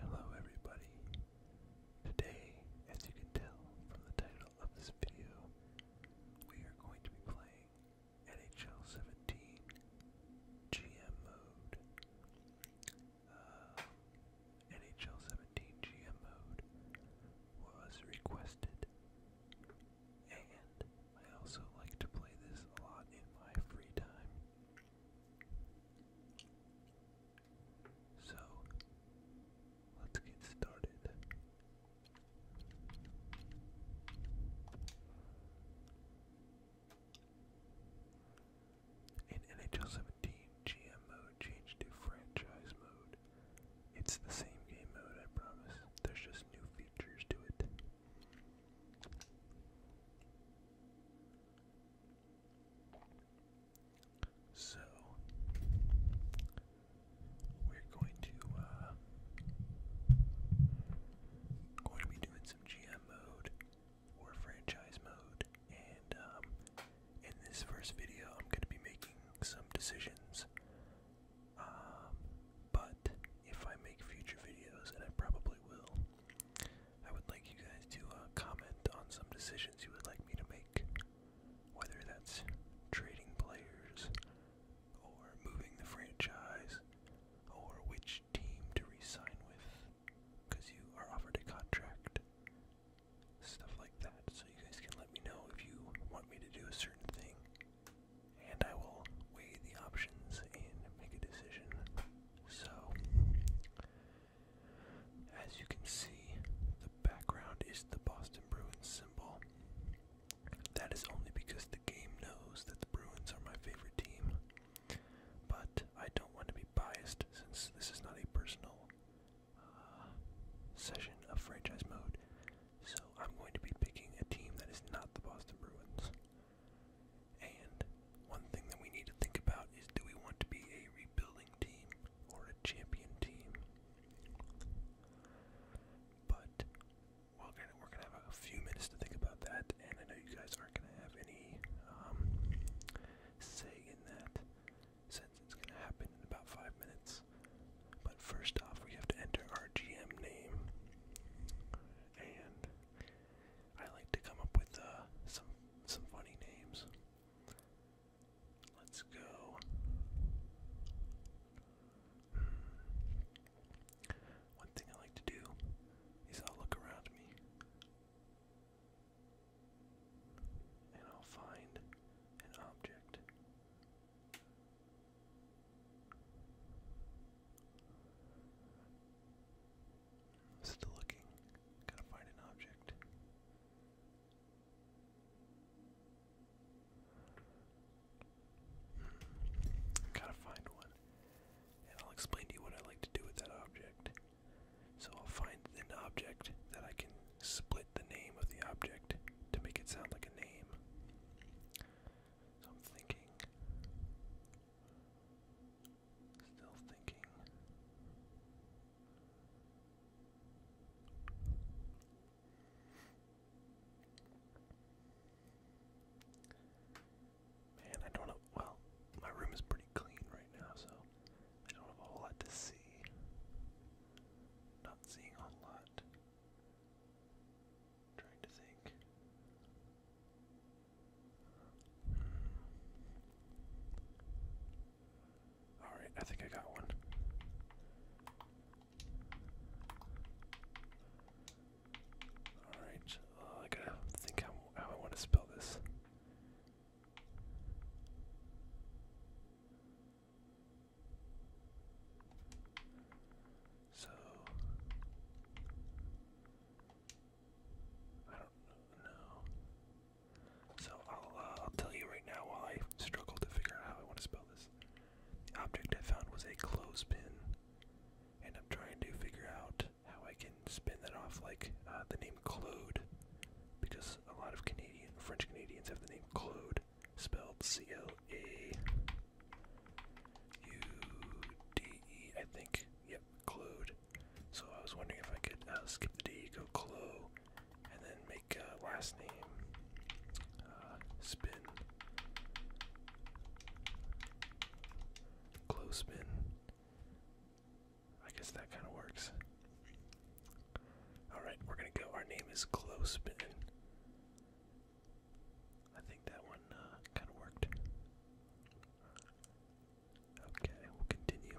Hello, everybody. Today, as you can tell from the title of this video, we are going to be playing NHL 17 GM mode. Uh, NHL 17 GM mode was requested and I also like to play this a lot in my free time. So, let's get started. In NHL 17, GM mode changed to franchise mode, it's the same game mode, I promise. There's just new features to it. So, we're going to, uh, going to be doing some GM mode or franchise mode, and, um, in this first video, I'm going to be making some decisions um, but if I make future videos, and I probably will, I would like you guys to uh, comment on some decisions you would like me to make, whether that's trading players, or moving the franchise, or which team to resign with, because you are offered a contract. Stuff like that, so you guys can let me know if you want me to do a certain thing, and I will weigh the options and make a decision. So, as you can see, the background is the Boston Bruins symbol. That is only because the game knows that the Bruins are my favorite team. But I don't want to be biased since this is not a personal uh, session of franchise mode. So I'm going to be picking a team that is not the Boston Bruins. And one thing that we need to think about is do we want to be a rebuilding team or a champion team? But we're gonna have a few minutes to think about that, and I know you guys aren't gonna have any um, say in that since it's gonna happen in about five minutes. But first off, we have to enter our GM name. And I like to come up with uh, some some funny names. Let's go. Hmm. One thing I like to do is I'll look around me and I'll find an object Still looking. Gotta find an object. Hmm. Gotta find one. And I'll explain to you what I like to do with that object. So I'll find an object that I can split the name of the object to make it sound like a name. I'm thinking. Still thinking. Man, I don't know. Well, my room is pretty clean right now, so I don't have a whole lot to see. Not seeing a lot i trying to think. Hmm. All right, I think I got one. All right, uh, I gotta think how I want to spell this. So I don't know. So uh, I'll tell you right now while I struggle to figure out how I want to spell this. The object I found was a clothespin, and I'm trying to figure out how I can spin that off like uh, the name Claude, because a lot of Canadian French Canadians have the name Claude spelled C L A U D E, I think. Yep, Clode. So I was wondering if I could uh, skip the D, go Clo, and then make uh, last name uh, Spin. Clo Spin. I guess that kind of works. Alright, we're gonna go. Our name is Close Spin. I think that one uh, kind of worked. Okay, we'll continue.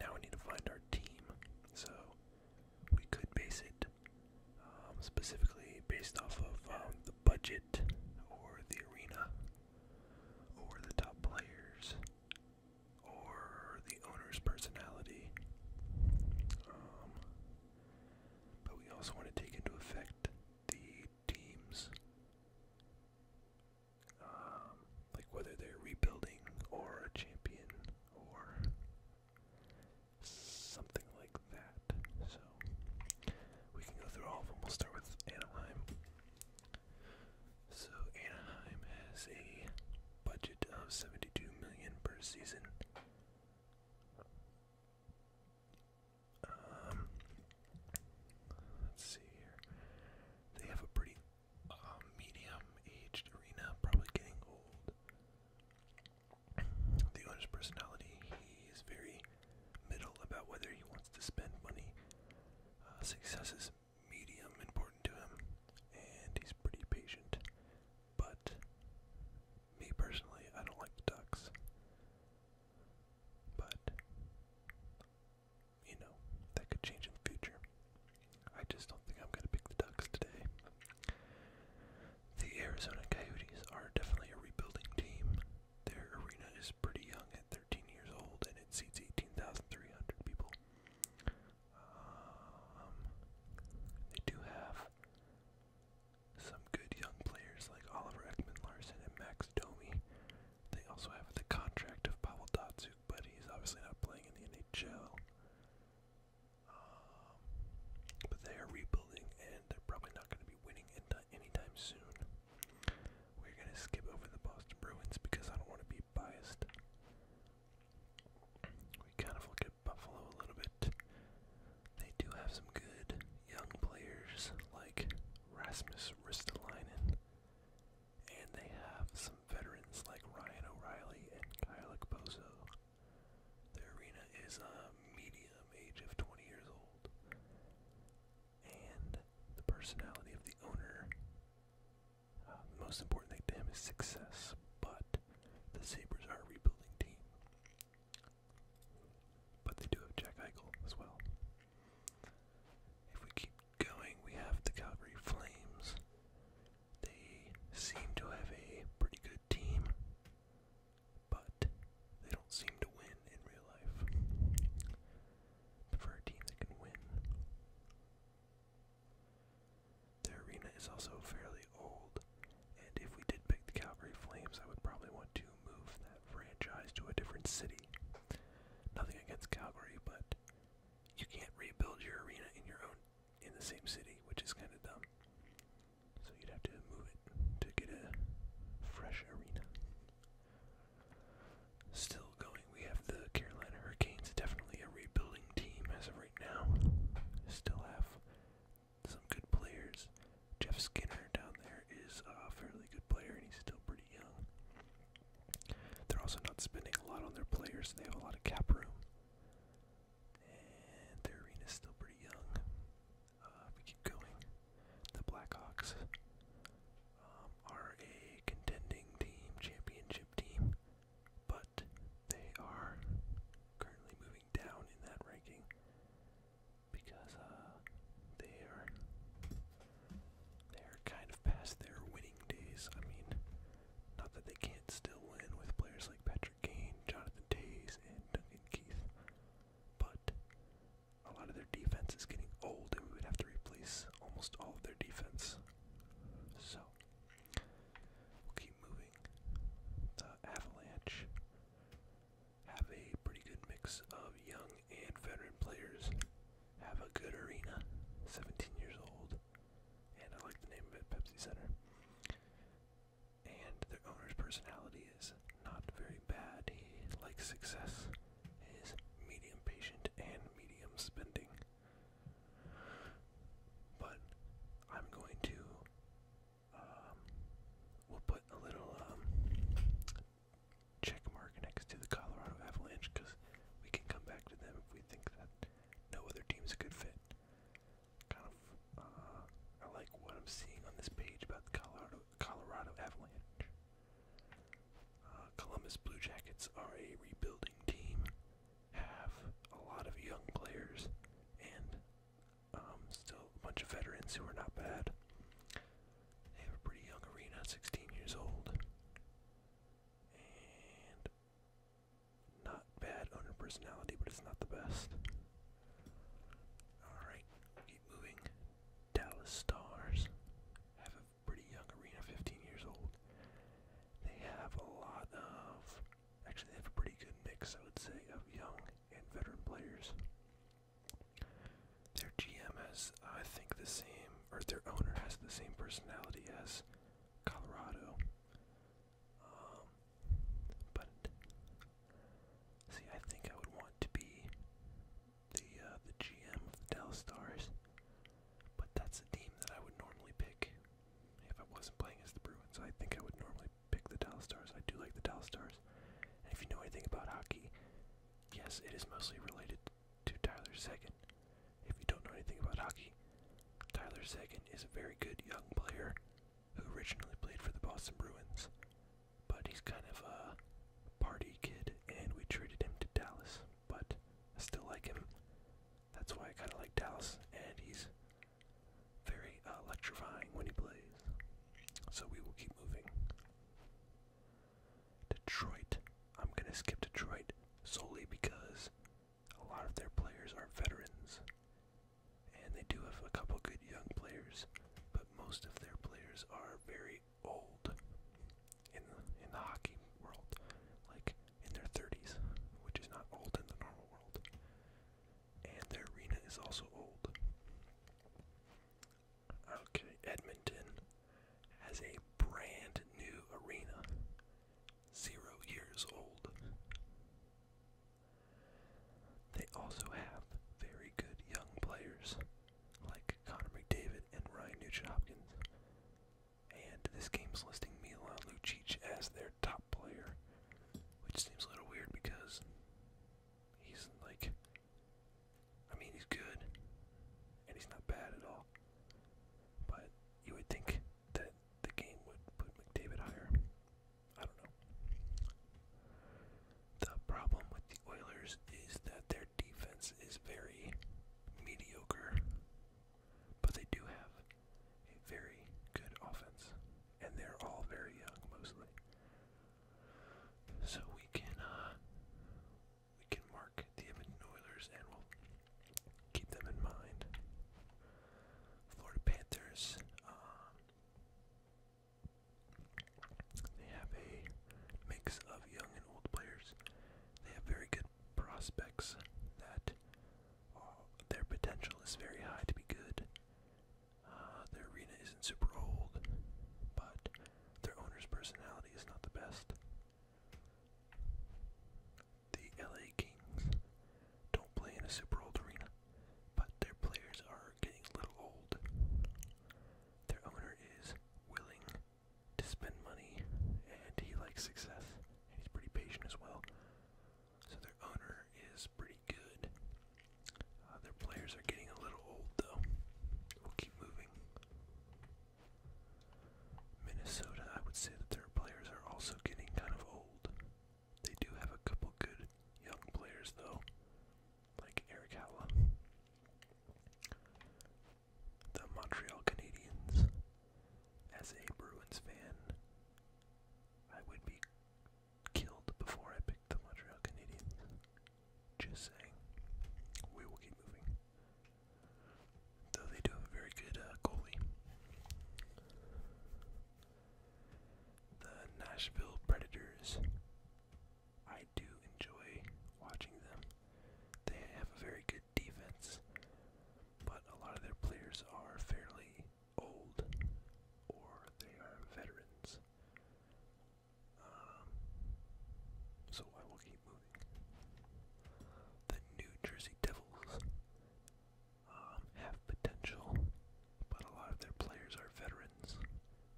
Now we need to find our team. So we could base it um, specifically based off of um, the budget or the arena or the top players or the owner's personality. Um, but we also want to take into effect the teams, um, like whether they're rebuilding or a champion or something like that. So we can go through all of them. We'll start with Anaheim. So Anaheim has a budget of 72 million per season. Um, let's see here. They have a pretty um, medium-aged arena, probably getting old. The owner's personality, he is very middle about whether he wants to spend money. Uh, success is medium important to him, and he's pretty patient, but me personally, I don't like the ducks. But, you know, that could change in the future. I just don't think I'm going to pick the ducks today. The Arizona Coyotes are definitely a rebuilding team. Their arena is pretty young at 13 years old and it seats 18,300 people. Um, they do have some good young players like Oliver Ekman Larson and Max Domi. They also have the contract of Pavel Datsuk, but he's obviously not playing in the NHL. Um, but they are rebuilding, and they're probably not going to be winning anytime soon. We're going to skip over the Boston Bruins because I don't want to be biased. We kind of look Buffalo a little bit. They do have some good young players like Rasmus Ristolainen, and they have some veterans like Ryan O'Reilly and Kyle Bozo. The arena is a medium age of 20 years old, and the personality of the owner. Uh, most importantly, thing to him is success, but the Sabres are a rebuilding team. But they do have Jack Eichel as well. If we keep going, we have the Calgary Flames. They seem to have a pretty good team, but they don't seem to win in real life. But a team that can win, their arena is also fairly old. And if we did pick the Calgary Flames, I would probably want to move that franchise to a different city. Nothing against Calgary, but you can't rebuild your arena in your own in the same city, which is kind of dumb. So you'd have to move it to get a fresh arena. Still going, we have the Carolina Hurricanes, definitely a rebuilding team as of right now. Still have some good players. Jeff Skinner down there is a fairly good player, and he's still pretty young. They're also not spending a lot on their players, so they have a lot of cap room. And their arena's still pretty young. Uh, we keep going. The Blackhawks um, are a contending team, championship team, but they are currently moving down in that ranking because uh, they are they are kind of past their winning days. I mean, not that they can't still win with players like Patrick Kane, Jonathan Tays, and Duncan Keith, but a lot of their defense is getting old, and we would have to replace almost all of their defense. So we'll keep moving. The Avalanche have a pretty good mix of young and veteran players, have a good arena, 17 years old, and I like the name of it, Pepsi Center. And their owner's personality is not very bad. He likes success, is medium patient, and medium spending. But I'm going to um, we'll put a little um, check mark next to the Colorado Avalanche because we can come back to them if we think that no other team's a good fit. Kind of, uh, I like what I'm seeing on this page about the Colorado Colorado Avalanche. Uh, Columbus Blue Jackets are a rebuilding team, have a lot of young players, and um, still a bunch of veterans who are not bad. They have a pretty young arena, 16 years old. And not bad on owner personality, but it's not the best. Alright, keep moving. Dallas Stars have a pretty young arena, 15 years old. They have a lot of Actually, they have a pretty good mix, I would say, of young and veteran players. Their GM has, I think, the same, or their owner has the same personality as Colorado. Um, but see, I think I would want to be the uh, the GM of the Dallas Stars, but that's a team that I would normally pick if I wasn't playing as the Bruins. I think I would normally I pick the Dallas Stars. I do like the Dallas Stars. And if you know anything about hockey, yes, it is mostly related to Tyler Seguin. If you don't know anything about hockey, Tyler Seguin is a very good young player who originally played for the Boston Bruins, but he's kind of a party kid, and we traded him to Dallas. But I still like him. That's why I kind of like Dallas, and he's very uh, electrifying when he plays. So we will keep moving. Detroit. I'm going to skip Detroit solely because a lot of their players are veterans. And they do have a couple good young players, but most of their players are very old in in the hockey world, like in their 30s, which is not old in the normal world and their arena is also old. Okay, Edmonton has a brand new arena, zero years old. They also have very good young players like Connor McDavid and Ryan Nugent Hopkins. And this game's listing Milan Lucic as their top player, which seems a little weird because He's like, I mean, he's good, and he's not bad at all. But you would think that the game would put McDavid higher. I don't know. The problem with the Oilers is that their defense is very mediocre, but they do have a very good offense and they're all very young mostly. So we can uh, we can mark the Edmonton Oilers and we'll keep them in mind. Florida Panthers. Um, they have a mix of young and old players. They have very good prospects that their potential is very high to be good. Uh, their arena isn't super old, but their owner's personality is not the best. The LA Kings don't play in a super old arena, but their players are getting a little old. Their owner is willing to spend money and he likes success and he's pretty patient as well. So their owner is pretty good. Uh, their players are getting a little old, though. We'll keep moving. Minnesota, I would say that their players are also getting kind of old. They do have a couple good young players, though, like Eric Halla. The Montreal Canadiens, as a Bruins fan, I would be killed before I picked the Montreal Canadiens. Just saying. We will keep moving. Though they do have a very good uh, goalie. The Nashville Predators. I do enjoy watching them. They have a very good defense, but a lot of their players are fairly old or they are veterans. Um, so I will keep moving. The New Jersey Devils um, have potential, but a lot of their players are veterans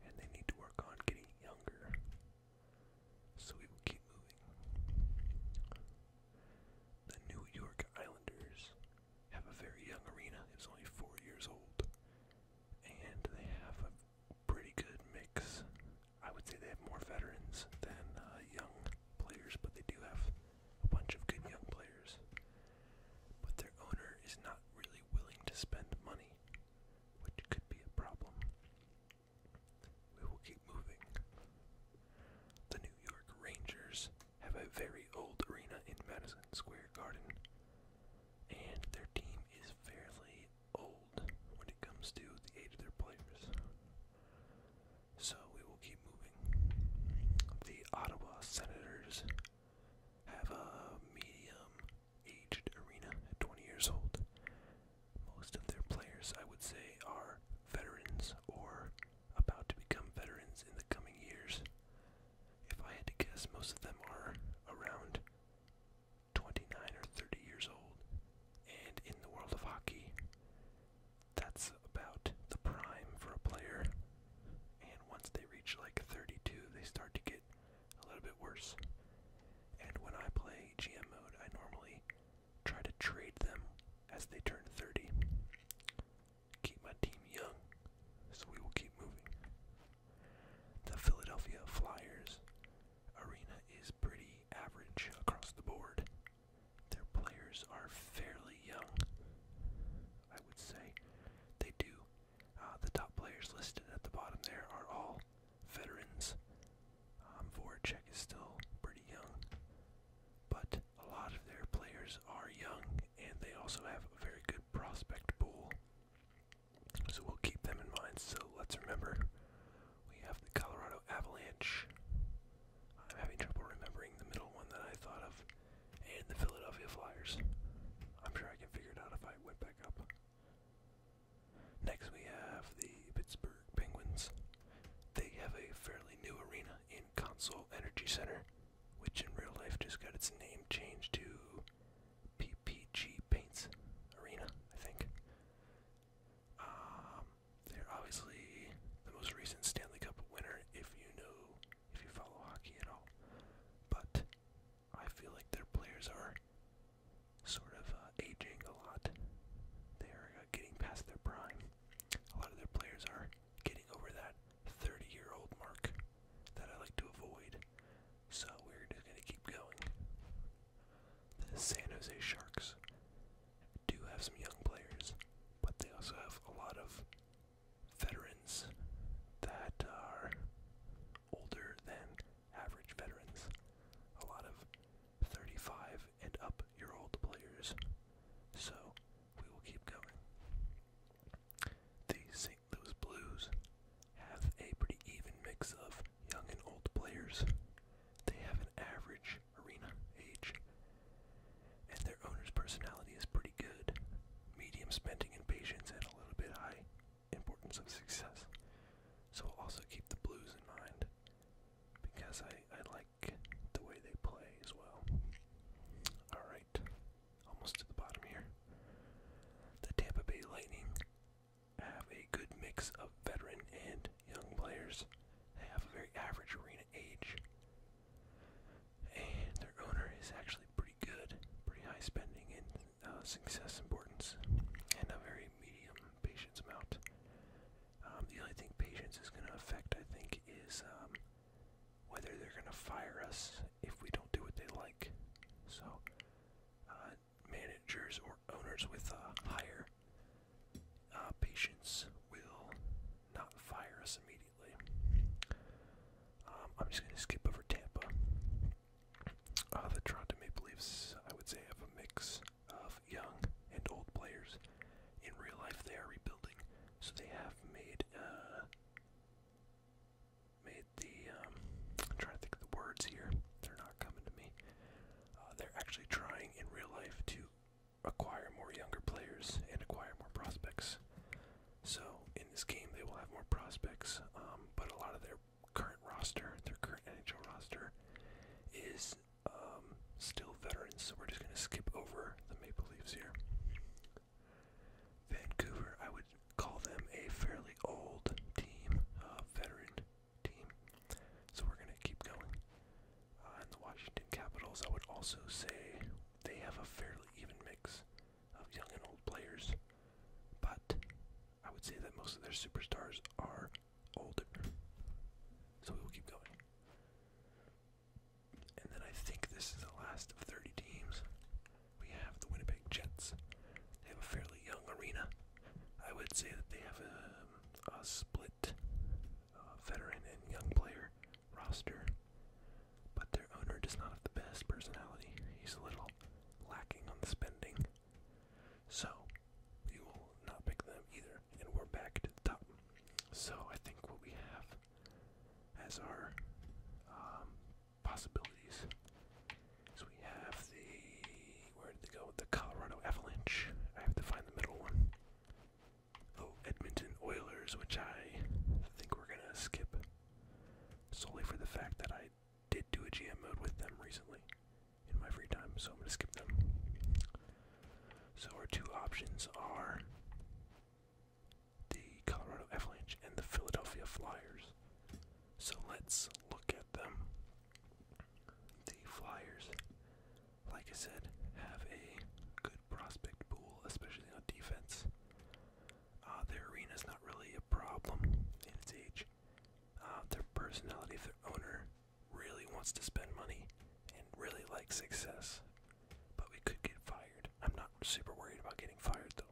and they need to work on getting younger. So we will keep moving. The New York Islanders have a very young arena. It was only four years old. And they have a pretty good mix. I would say they have more veterans than uh, young players, but they do have a bunch of good young players. But their owner is not really willing to spend money, which could be a problem. We will keep moving. The New York Rangers have a very old arena in Madison Square Garden, and their team is fairly old when it comes to the age of their players. So we will keep moving. The Ottawa Senators have a medium aged arena at 20 years old. Most of their players, I would say, are veterans or about to become veterans in the coming years. If I had to guess, most of them are around 29 or 30 years old. And in the world of hockey, that's about the prime for a player. And once they reach like 32, they start to get a little bit worse. And when I play GM mode, I normally try to trade them as they turn 30 keep my team young, so we will keep moving. The Philadelphia Flyers arena is pretty average across the board. Their players are fairly young, I would say. They do. Uh, the top players listed at the bottom there are all veterans. Um, Voracek is still pretty young, but a lot of their players are young and they also have a very good prospect pool. So we'll keep them in mind. So let's remember we have the Colorado Avalanche. I'm having trouble remembering the middle one that I thought of, and the Philadelphia Flyers. I'm sure I can figure it out if I went back up. Next, we have the Pittsburgh Penguins. They have a fairly new arena in Console Energy Center which in real life just got its name changed to PPG Paints Arena, I think. Um, they're obviously the most recent Stanley Cup winner, if you know, if you follow hockey at all. But I feel like their players are sort of uh, aging a lot. They are uh, getting past their prime. A lot of their players are getting over that 30 year old mark that I like to avoid. So we're just going to keep going. The San Jose Sharks do have some young players, but they also have a lot of veterans that are older than average veterans. A lot of 35 and up year old players. So we will keep going. The St. Louis Blues have a pretty even mix of young and old players. They have an average arena age, and their owner's personality is pretty good. Medium spending and patience, and a little bit high importance of success. So I'll also keep the Blues in mind because I, I like the way they play as well. Alright almost to the bottom here. The Tampa Bay Lightning have a good mix of veteran and young players. They have a very average arena age. And their owner is actually pretty good, pretty high spending and uh, success importance, and a very medium patience amount. Um, the only thing patience is going to affect, I think, is um, whether they're going to fire us if we don't do what they like. So, uh, managers or owners with uh, higher uh, patience will not fire us immediately. Um, I'm just going to skip over Tampa. the Toronto Maple Leafs, I would say, have a mix of young and old players. In real life, they are rebuilding, so they have made uh, made the um, trying to think of the words here. They're not coming to me. Uh, they're actually trying in real life to acquire more younger players and acquire more prospects. So in this game, they will have more prospects, um, but a lot of their current roster, their current NHL roster, is um, still veterans. So we're just going to skip over the Maple Leafs here. Vancouver, I would call them a fairly old team, uh, veteran team. So we're going to keep going. Uh, and the Washington Capitals, I would also say they have a fairly even mix of young and old players. But I would say that most of their superstars are older. So we will keep going. And then I think this is the last of 30 teams we have the Winnipeg Jets. They have a fairly young arena. I would say that they have a, um, a split uh, veteran and young player roster, but their owner does not have the best personality. He's a little lacking on the spending. So, we will not pick them either, and we're back to the top. So, I think what we have as our um, possibilities. So we have the where did they go? The Colorado Avalanche. I have to find the middle one. Oh, Edmonton Oilers, which I think we're gonna skip solely for the fact that I did do a GM mode with them recently in my free time, so I'm gonna skip them. So our two options are the Colorado Avalanche and the Philadelphia Flyers. So let's look at them. The Flyers, like I said, have a good prospect pool, especially on defense. Uh, their arena is not really a problem in its age. Uh, their personality, if their owner really wants to spend money and really likes success, but we could get fired. I'm not super worried about getting fired though.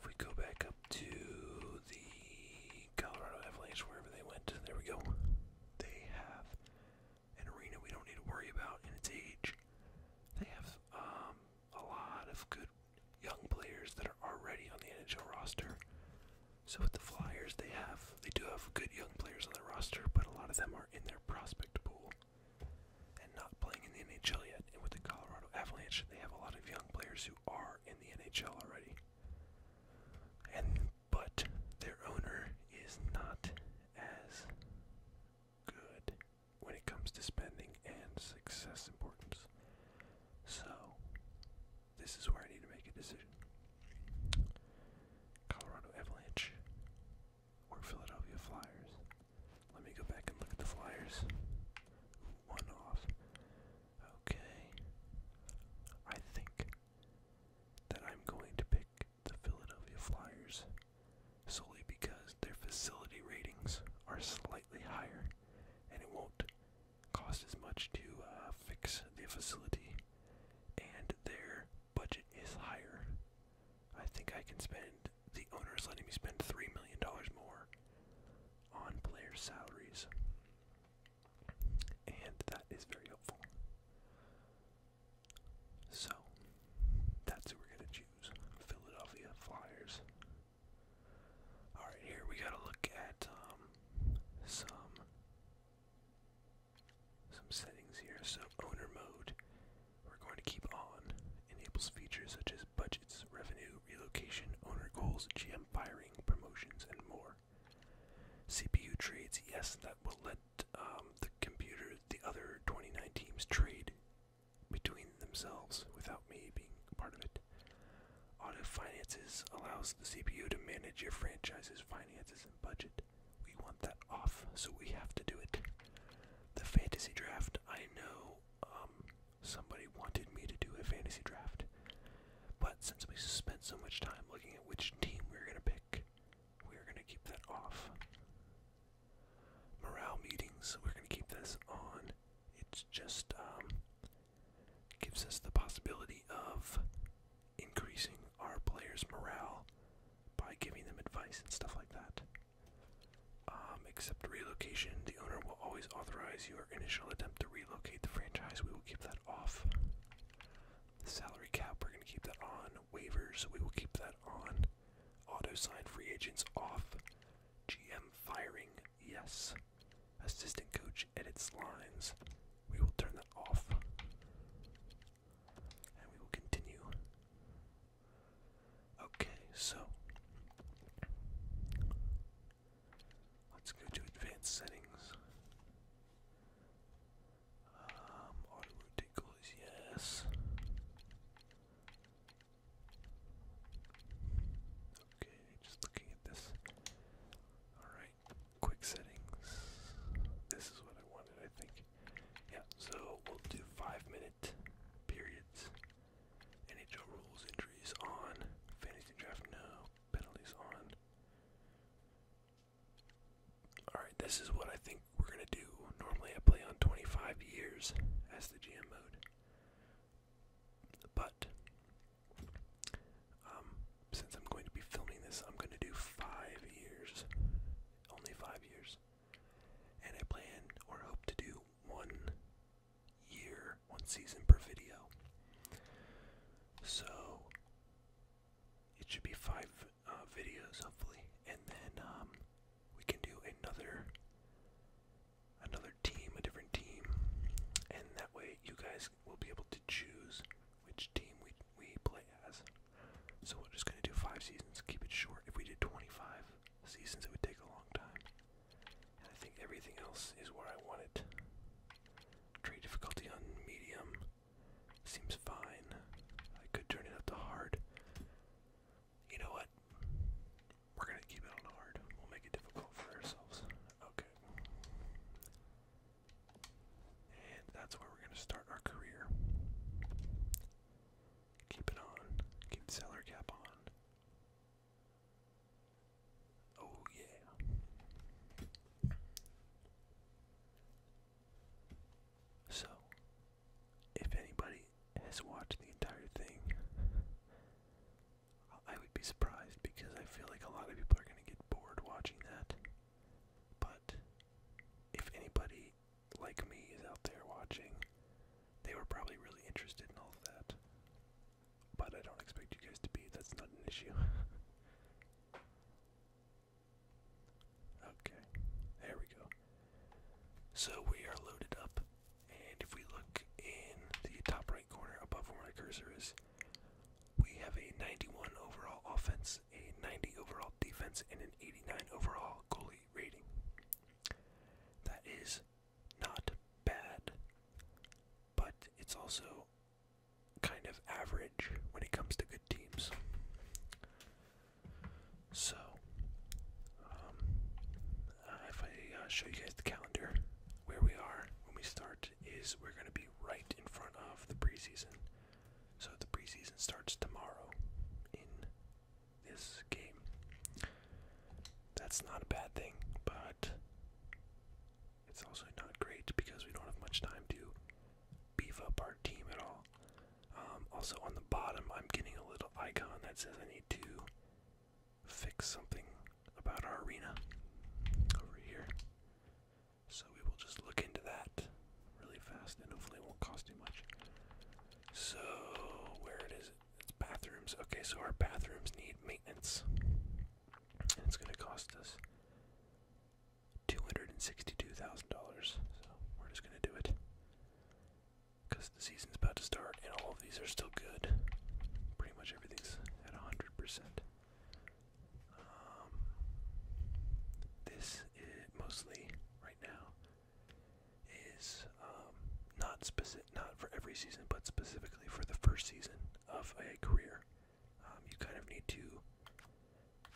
If we go back up to the Colorado Avalanche, wherever they went, there we go. They have an arena we don't need to worry about in its age. They have um, a lot of good young players that are already on the NHL roster. So with the Flyers, they have they do have good young players on the roster, but a lot of them are in their prospect pool and not playing in the NHL yet. And with the Colorado Avalanche, they have a lot of young players who are in the NHL already. And but their owner is not as good when it comes to spending and success importance. So this is where I need to make a decision. Colorado Avalanche or Philadelphia Flyers. Let me go back and look at the Flyers. One off. Okay. I think that I'm going to pick the Philadelphia Flyers solely because their facility ratings are slightly higher and it won't cost as much to uh, fix the facility and their budget is higher I think I can spend the owner is letting me spend three million dollars more on player salaries. And that is very helpful. So that's who we're gonna choose. Philadelphia Flyers. Alright, here we gotta look at um, some some settings here. So owner mode we're going to keep on. Enables features such as budgets, revenue, relocation, owner goals, GM firing, promotions, and more. CPU trades, yes, that will let um, the computer, the other 29 teams trade between themselves without me being part of it. Auto finances allows the CPU to manage your franchise's finances and budget. We want that off, so we have to do it. The fantasy draft, I know um, somebody wanted me to do a fantasy draft. But since we spent so much time looking at which team we are going to pick, we are going to keep that off. Morale meetings, we're going to keep this on. It just um, gives us the possibility of increasing our players' morale by giving them advice and stuff like that. Um, except relocation, the owner will always authorize your initial attempt to relocate the franchise. We will keep that off. The salary cap, we're going to keep that on. Waivers, we will keep that on. Auto sign free agents off. GM firing, yes. Assistant coach edits lines. We will turn that off. And we will continue Okay, so let's go to advanced settings. Um, auto ridiculous, yes. Okay, just looking at this. Alright, quick settings. This is what I wanted, I think. Yeah, so we'll do five minute periods. NHL rules injuries on fantasy draft. No penalties on. All right, this is what I think we're gonna do. Normally, I play on 25 years as the GM mode, but um, since I'm going to be filming this, I'm gonna do five years. Only five years and I plan or hope to do one year, one season per video. So it should be five uh, videos, hopefully, and then um, we can do another another team, a different team, and that way you guys will be able to choose which team we we play as. So we're just gonna do five seasons, keep it short. If we did 25, See, since it would take a long time. I think everything else is where I want it. Trade difficulty on medium seems fine. I could turn it up to hard. You know what? We're gonna keep it on hard. We'll make it difficult for ourselves. Okay. And that's where we're gonna start our career. Keep it on. Keep the cap on. Oh, yeah. So, if anybody has watched the entire thing, I would be surprised because I feel like a lot of people are going to get bored watching that. But if anybody like me is out there watching, they were probably really interested in all that. But I don't expect you guys to be. That's not an issue. okay, there we go. So we are loaded up, and if we look in the top right corner above where my cursor is, we have a 91 overall offense, a 90 overall defense, and an 89 overall goalie rating. That is not bad, but it's also kind of average when it comes to good teams. So, um, uh, if I uh, show you guys the calendar, where we are when we start is we're going to be right in front of the preseason. So the preseason starts tomorrow this game. That's not a bad thing, but it's also not great because we don't have much time to beef up our team at all. Um, also, on the bottom, I'm getting a little icon that says I need to fix something about our arena over here. So we will just look into that really fast and hopefully it won't cost too much. So, where it is it's bathrooms. Okay, so our bathrooms need maintenance. And it's going to cost us $262,000. So we're just going to do it. Because the season's about to start and all of these are still good. Pretty much everything's at 100%. Um, this mostly, right now, is um, not specific, not for every season, but specifically for the first season of a career. Um, you kind of need to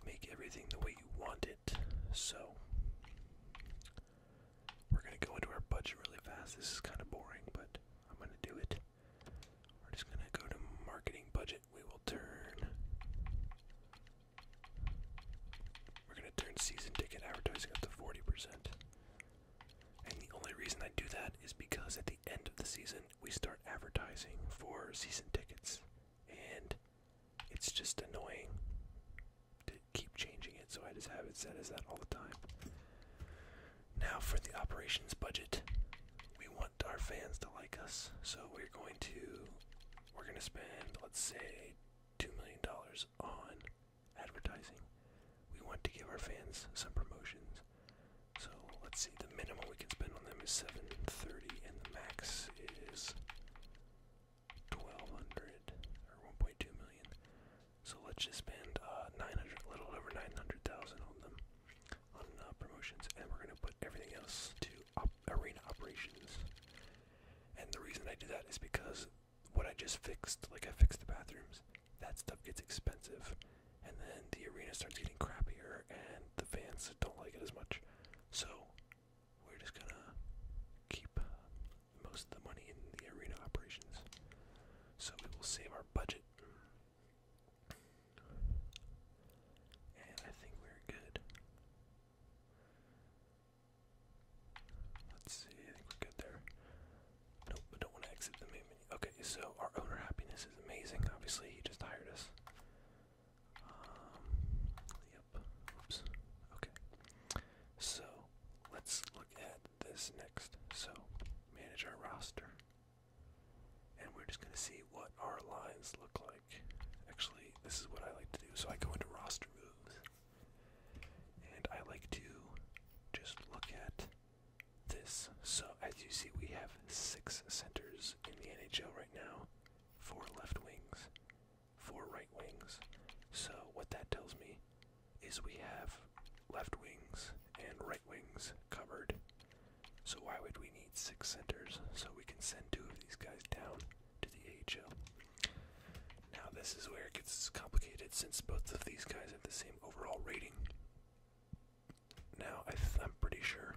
make everything the way you want it. So we're gonna go into our budget really fast. This is kind of boring, but I'm gonna do it. We're just gonna go to marketing budget. We will turn. We're gonna turn season ticket advertising up to 40%. And the only reason I do that is because at the end of the season, we start advertising for season tickets. And it's just annoying to keep changing it, so I just have it set as that all the time. Now, for the operations budget, we want our fans to like us, so we're going to. We're going to spend, let's say, $2 million on advertising. We want to give our fans some promotions. So let's see, the minimum we can spend on them is 730 and the max is 1200 or 1.2 million. So let's just spend uh, 900, a little over 900,000 on them on uh, promotions, and we're gonna put everything else to arena operations. And the reason I do that is because what I just fixed, like I fixed the bathrooms, that stuff gets expensive. And then the arena starts getting crappier and the fans don't like it as much. So we're just gonna keep most of the money in the arena operations. So we will save our budget. And I think we're good. Let's see, I think we're good there. Nope, I don't want to exit the main menu. Okay, so our owner happiness is amazing. Obviously, he just hired us. Um, yep. Oops. Okay. So, let's look at this next. So, manage our roster. And we're just going to see what our lines look like. Actually, this is what I like to do. So I go into roster moves. And I like to just look at this. So, as you see, we have six centers in the NHL right now four left wings, four right wings. So, what that tells me is we have left wings and right wings covered. So, why would we need six centers? So, we can send two of these guys down to the AHL. Now, this is where it gets complicated since both of these guys have the same overall rating. Now, I am pretty sure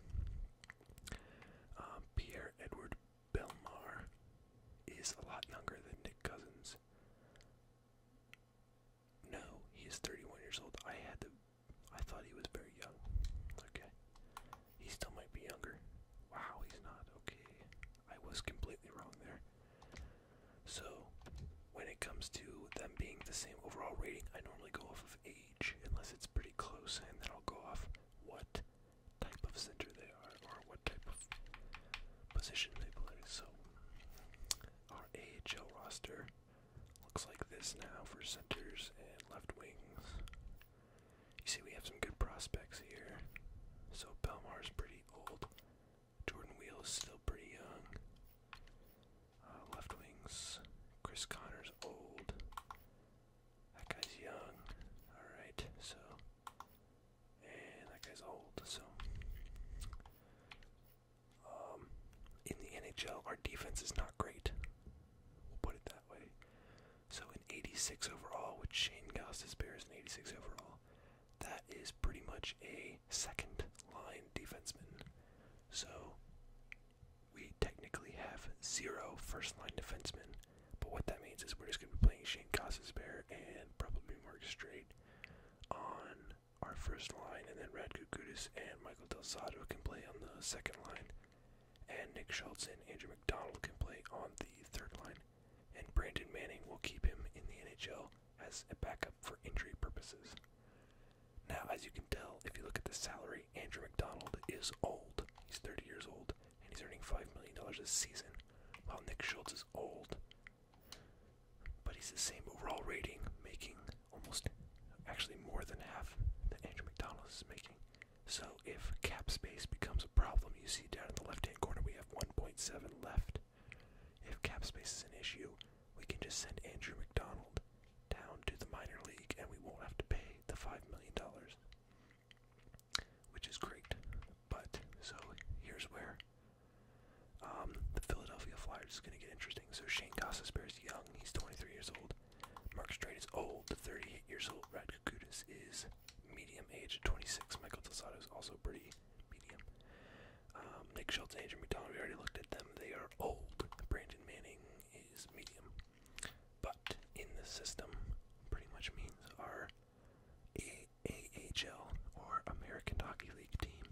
um, Pierre Edward Belmar is a lot younger than Nick Cousins. No, he is 31 years old. I had to. I thought he was very young. Okay. He still might be younger. Wow, he's not. Okay. I was completely wrong there. So, when it comes to them being the same overall rating, I normally go off of age, unless it's pretty close, and then I'll go off what type of center they are, or what type of position they play. So, our AHL roster looks like this now for centers and left wings. You see, we have some good prospects here. So, Belmar's pretty old. Jordan Wheel is still pretty young. Uh, left wings. Chris Connor's old. That guy's young. Alright, so. And that guy's old, so. Um, in the NHL, our defense is not great. We'll put it that way. So in 86 overall, which Shane Goss is Bears in 86 overall, that is pretty much a second line defenseman. So we technically have zero first line defensemen. But what that means is we're just going to be playing Shane Gossesbear and probably Mark Straight on our first line, and then Rad Kudus and Michael Delzato can play on the second line, and Nick Schultz and Andrew McDonald can play on the third line and Brandon Manning will keep him in the NHL as a backup for injury purposes. Now, as you can tell, if you look at the salary, Andrew McDonald is old. He's 30 years old, and he's earning $5 million this season, while Nick Schultz is old. But he's the same overall rating, making almost actually more than half that Andrew McDonald is making. So if cap space becomes a problem, you see down in the left hand corner we have 1.7 left. If cap space is an issue, we can just send Andrew McDonald down to the minor league and we won't have to pay the $5 million. Which is great. But, so here's where um, the Philadelphia Flyers is going to get interesting. So Shane Gossesbear is young, he's 23 years old. Mark Strait is old, 38 years old. Rad Kakutis is medium age, 26. Michael Tosado is also pretty medium. Um, Nick Schultz and Adrian McDonald, we already looked at them. They are old. Brandon Manning is medium. But in the system, pretty much means our AHL or American Hockey League team.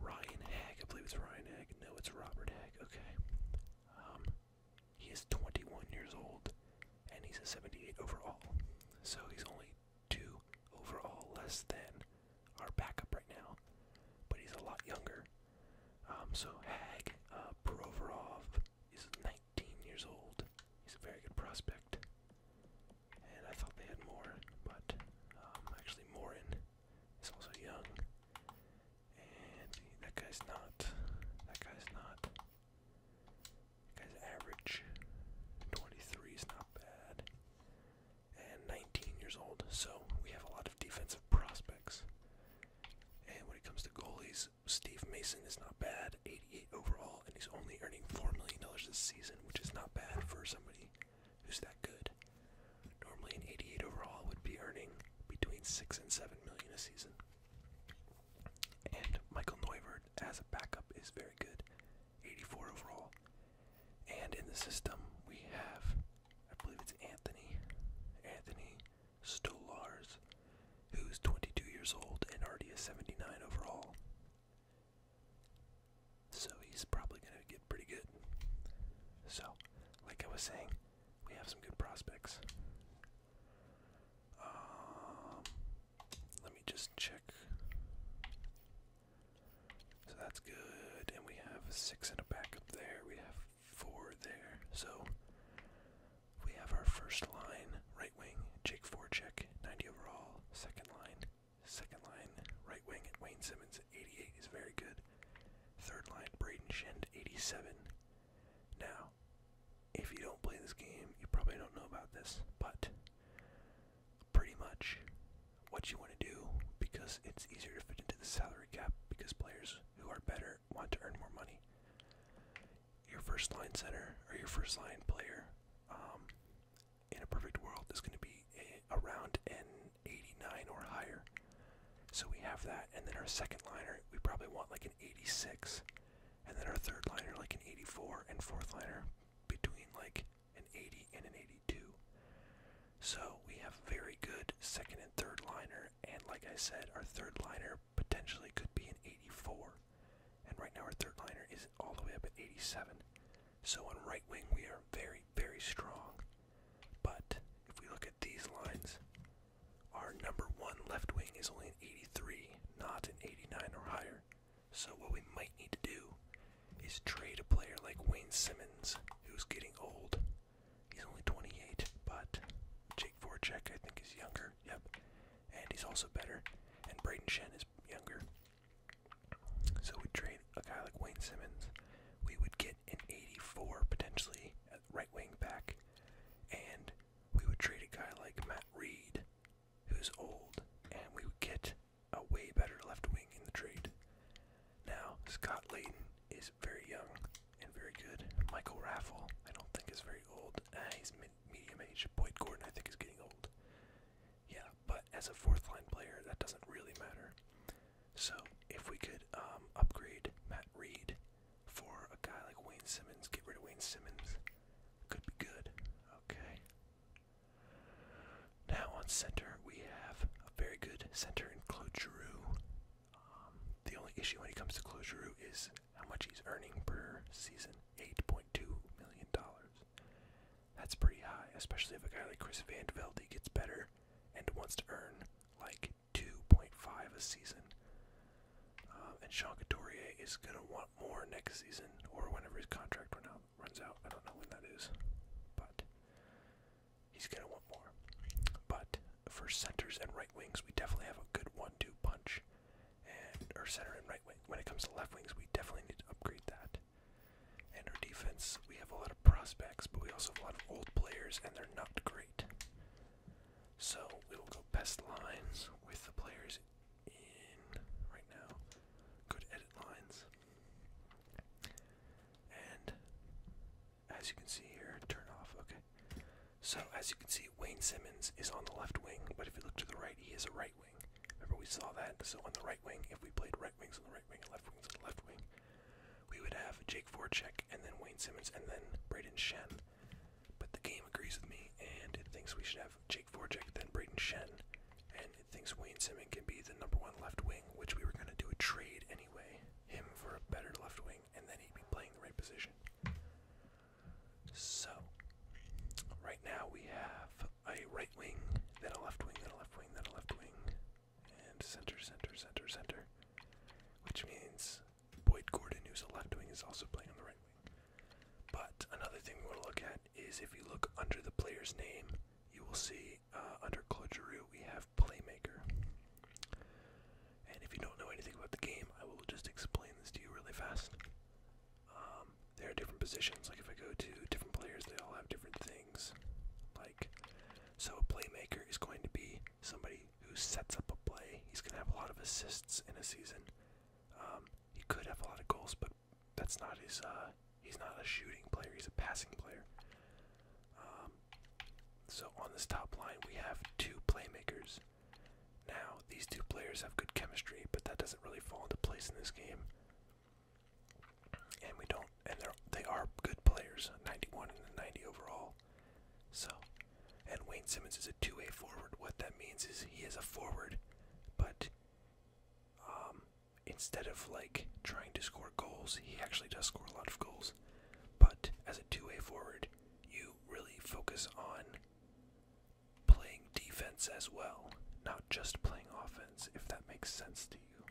Ryan Egg. I believe it's Ryan Egg. No, it's Robert Egg. Okay. Um, he is 21 years old and he's a 78 overall. So he's only two overall less than our backup right now, but he's a lot younger. Um, so Hag uh, Provorov is 19 years old. He's a very good prospect, and I thought they had more, but um, actually Morin is also young, and that guy's not. That guy's not. Guys, average 23 is not bad. And 19 years old, so we have a lot of defensive prospects. And when it comes to goalies, Steve Mason is not bad, 88 overall, and he's only earning $4 million this season, which is not bad for somebody who's that good. Normally, an 88 overall would be earning between 6 and 7 million a season. And Michael Neuvert as a backup is very good, 84 overall. And in the system, we have, I believe it's Anthony, Anthony Stolars, who's 22 years old and already a 79 overall. So he's probably going to get pretty good. So, like I was saying, we have some good prospects. Um, let me just check. So that's good. And we have a six and a backup there. We have four there. So we have our first line right wing, Jake Forcheck, 90 overall. Second line, second line right wing at Wayne Simmons, 88 is very good. Third line, Braden Shend, 87. Now, if you don't play this game, you probably don't know about this, but pretty much what you want to do because it's easier to fit into the salary cap because players who are better want to earn more money. Your first line center or your first line player um, in a perfect world is going to be a, around an 89 or higher. So we have that, and then our second liner, we probably want like an 86 and then our third liner like an 84 and fourth liner between like an 80 and an 82. So we have very good second and third liner, and like I said, our third liner potentially could be an 84. And right now our third liner is all the way up at 87. So on right wing we are very, very strong. But if we look at these lines, our number one left wing is only an 83, not an 89 or higher. So what we might need to do is trade a player like Wayne Simmons, who's getting old. He's only 28, but Jake Voracek I think is younger. Yep, and he's also better. And Braden Shen is younger. So we trade a guy like Wayne Simmons. We would get an 84 potentially at right wing back, and we would trade a guy like Matt Reed, who's old, and we would get a way better left wing in the trade. Now, Scott Layton is very young and very good. Michael Raffle, I don't think is very old. Ah, he's medium age. Boyd Gordon, I think, is getting old. Yeah, but as a fourth line player, that doesn't really matter. So, if we could um, upgrade Matt Reed for a guy like Wayne Simmons, get rid of Wayne Simmons, could be good. Okay. Now on center, we have a very good center in Claude um, the only issue when it comes to Claude is how much he's earning per season $8.2 million. That's pretty high, especially if a guy like Chris Van de Velde gets better and wants to earn like 2.5 a season. Um, and Sean Couturier is going to want lot more next season or whenever his contract run out, runs out. I don't know when that is, but he's gonna want more. But for centers and right wings, we definitely have a good one-two punch, and or center and right wing. When it comes to left wings, we definitely need to upgrade that. And our defense, we have a lot of prospects, but we also have a lot of old players, and they're not great. So we will go best lines with the players in right now. Good edit lines. And as you can see here, turn off, okay. So as you can see, Wayne Simmons is on the left wing, but if you look to the right, he is a right wing. Remember we saw that, so on the right wing, if we played right wings on the right wing and left wings on the left wing, we would have Jake Voracek and then Wayne Simmons and then Braden Shen. But the game agrees with me, and it thinks we should have Jake Voracek, then Braden Shen, and it thinks Wayne Simon can be the number one left wing, which we were going to do a trade anyway, him for a better left wing, and then he'd be playing the right position. So, right now we have a right wing, then a left wing, then a left wing, then a left wing, and center, center, center, center, which means Boyd Gordon, who's a left wing, is also playing on the right wing. But another thing we want to look at is if you look under the player's name, you will see uh, under Claude Giroux we have Playmaker. And if you don't know anything about the game, I will just explain this to you really fast. Um, there are different positions. Like if I go to different players, they all have different things. Like, so a playmaker is going to be somebody who sets up a play. He's going to have a lot of assists in a season. Um, he could have a lot of goals, but that's not his. Uh, he's not a shooting player. He's a passing player. Um, so on this top line, we have two playmakers. Now these two players have good chemistry, but that doesn't really fall into place in this game. And we don't. And they're they are good players, 91 and 90 overall. So, and Wayne Simmons is a two-way forward. What that means is he is a forward, but um, instead of like trying to score goals, he actually does score a lot of goals. But as a two-way forward, you really focus on playing defense as well, not just playing offense, if that makes sense to you.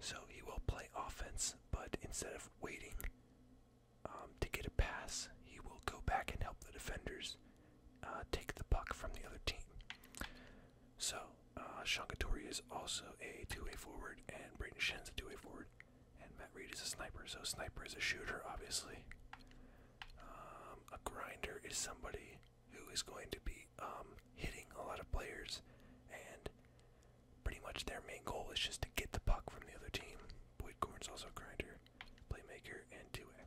So he will play offense, but instead of waiting um, to get a pass, he will go back and help the defenders uh, take the puck from the other team. So, uh, Sean Couturier is also a two-way forward, and Braden Shen's a two-way forward, and Matt Reed is a sniper. So, sniper is a shooter, obviously. Um, a grinder is somebody who is going to be um, hitting a lot of players, and pretty much their main goal is just to get the puck from the other team. Boyd Corn's also a grinder, playmaker, and two-way.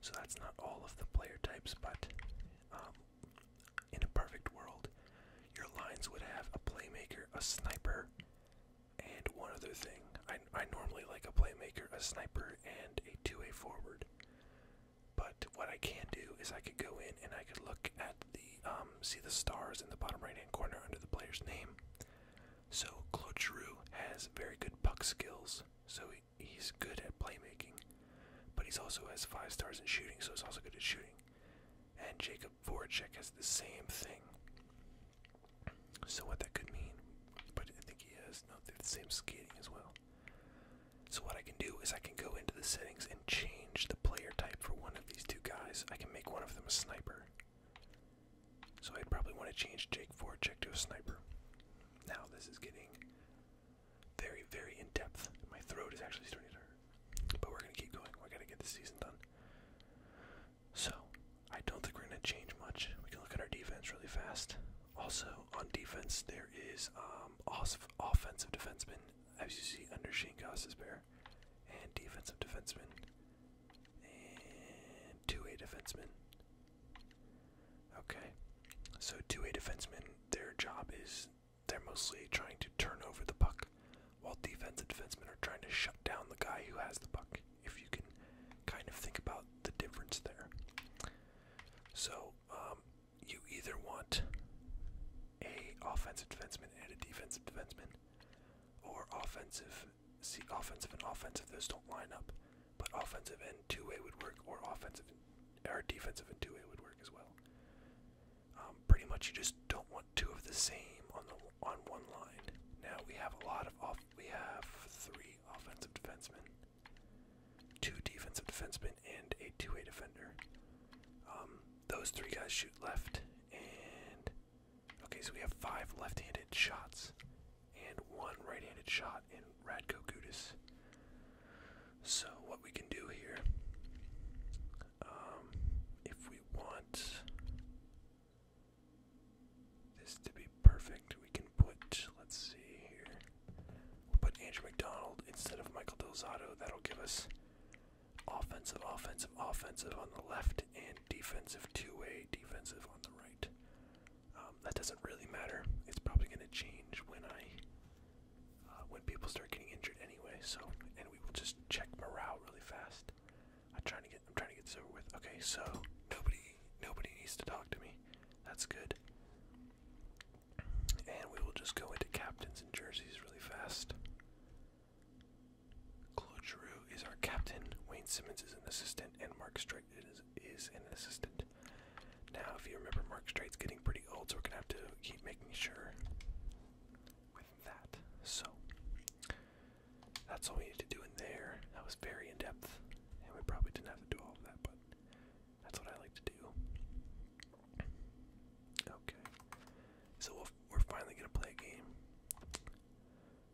So that's not all of the player types, but um, in a perfect world, your lines would have a playmaker, a sniper, and one other thing. I, I normally like a playmaker, a sniper, and a two-way forward. But what I can do is I could go in and I could look at the um, see the stars in the bottom right-hand corner under the player's name. So Claude has very good puck skills, so he's good at playmaking, but he also has five stars in shooting, so he's also good at shooting. And Jacob Voracek has the same thing. So what that could mean, but I think he has no the same skating as well. So what I can do is I can go into the settings and change the player type for one of these two guys. I can make one of them a sniper. So I'd probably want to change Jake Voracek to a sniper. Now this is getting very, very in depth. My throat is actually starting to hurt. But we're gonna keep going. We gotta get this season done. So I don't think we're gonna change much. We can look at our defense really fast. Also on defense there is um, offensive defenseman, as you see under Shane Goss's bear, and defensive defenseman, and two-way defenseman, Okay. So two-way defensemen, their job is they're mostly trying to turn over the puck, while defensive defensemen are trying to shut down the guy who has the puck. If you can kind of think about the difference there. So um, you either want a offensive defenseman and a defensive defenseman, or offensive see offensive and offensive those don't line up but offensive and two-way would work or offensive or defensive and two-way would work as well um, pretty much you just don't want two of the same on the on one line now we have a lot of off we have three offensive defensemen two defensive defensemen and a two-way defender um, those three guys shoot left and Okay, so we have five left-handed shots and one right-handed shot in Radko Gudis. So what we can do here, um, if we want this to be perfect, we can put, let's see here, we'll put Andrew McDonald instead of Michael Delzato. That'll give us offensive, offensive, offensive on the left and defensive two-way, defensive on the right. Um, that doesn't really matter. It's probably going to change when I, uh, when people start getting injured anyway. So, and we will just check morale really fast. I'm trying to get, I'm trying to get this with. Okay, so nobody, nobody needs to talk to me. That's good. And we will just go into captains and jerseys really fast. Claude Giroux is our captain. Wayne Simmons is an assistant, and Mark Stray Strait an assistant. Now, if you remember, Mark Strait's getting pretty old, so we're gonna have to keep making sure with that. So that's all we need to do in there. That was very in depth, and we probably didn't have to do all of that, but that's what I like to do. Okay, so we're finally gonna play a game.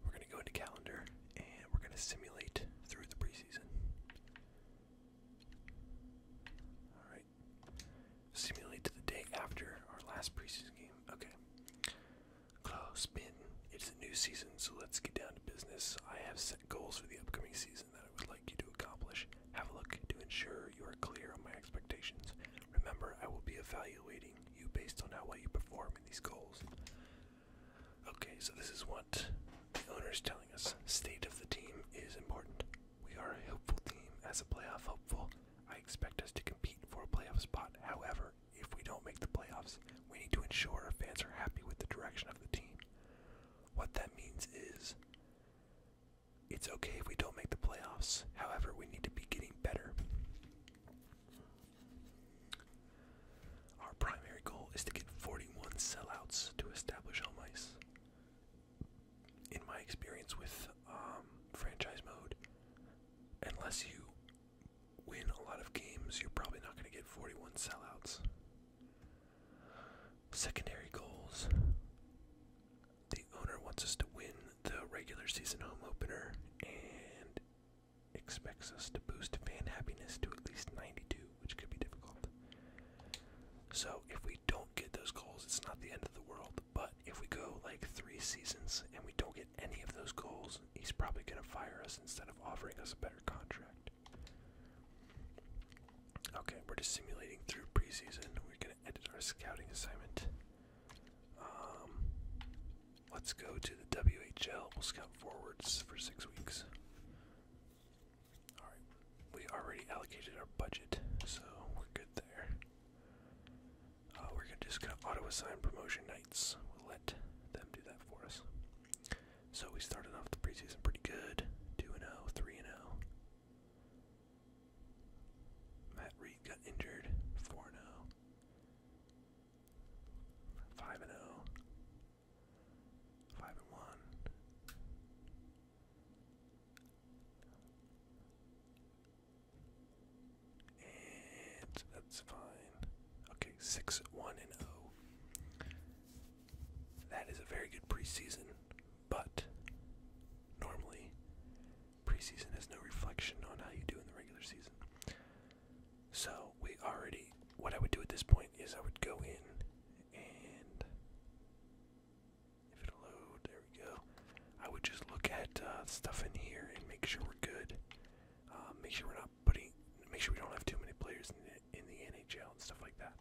We're going to go into calendar and we're going to simulate through the preseason. All right. Simulate to the day after our last preseason game. Okay. Close bin. It's a new season, so let's get down to business. I have set goals for the upcoming season that I would like you to accomplish. Have a look to ensure you are clear on my expectations. Remember, I will be evaluating you based on how well you perform in these goals. Okay, so this is what the owner is telling us. State of the team is important. We are a hopeful team. As a playoff hopeful, I expect us to compete for a playoff spot. However, if we don't make the playoffs, we need to ensure our fans are happy with the direction of the team. What that means is it's okay if we don't make the playoffs. However, we need to be getting better. Our primary goal is to get 41 sellouts to establish home ice. In my experience with um, franchise mode, unless you win a lot of games, you're probably not going to get 41 sellouts. Secondary goals. The owner wants us to win the regular season home opener and expects us to boost fan happiness to at least 92, which could be difficult. So if we don't get those goals, it's not the end of the world. But if we go like three seasons and we don't get any of those goals, he's probably going to fire us instead of offering us a better contract. Okay, we're just simulating through preseason. We're going to edit our scouting assignment. Um, Let's go to the WHL. We'll scout forwards for six weeks. Alright, we already allocated our budget, so we're good there. Uh, we're gonna just gonna auto assign promotion nights. We'll let them do that for us. So we started off the preseason pretty good 2 0, 3 0. Matt Reed got injured 4 0. Five and oh. and one. And that's fine. Okay, six, one, and oh. That is a very good preseason, but normally preseason has no reflection on how you do in the regular season. So we already, what I would do at this point is I would go in and if it'll load, there we go. I would just look at uh, stuff in here and make sure we're good. Uh, make sure we're not putting, make sure we don't have too many players in the, in the NHL and stuff like that.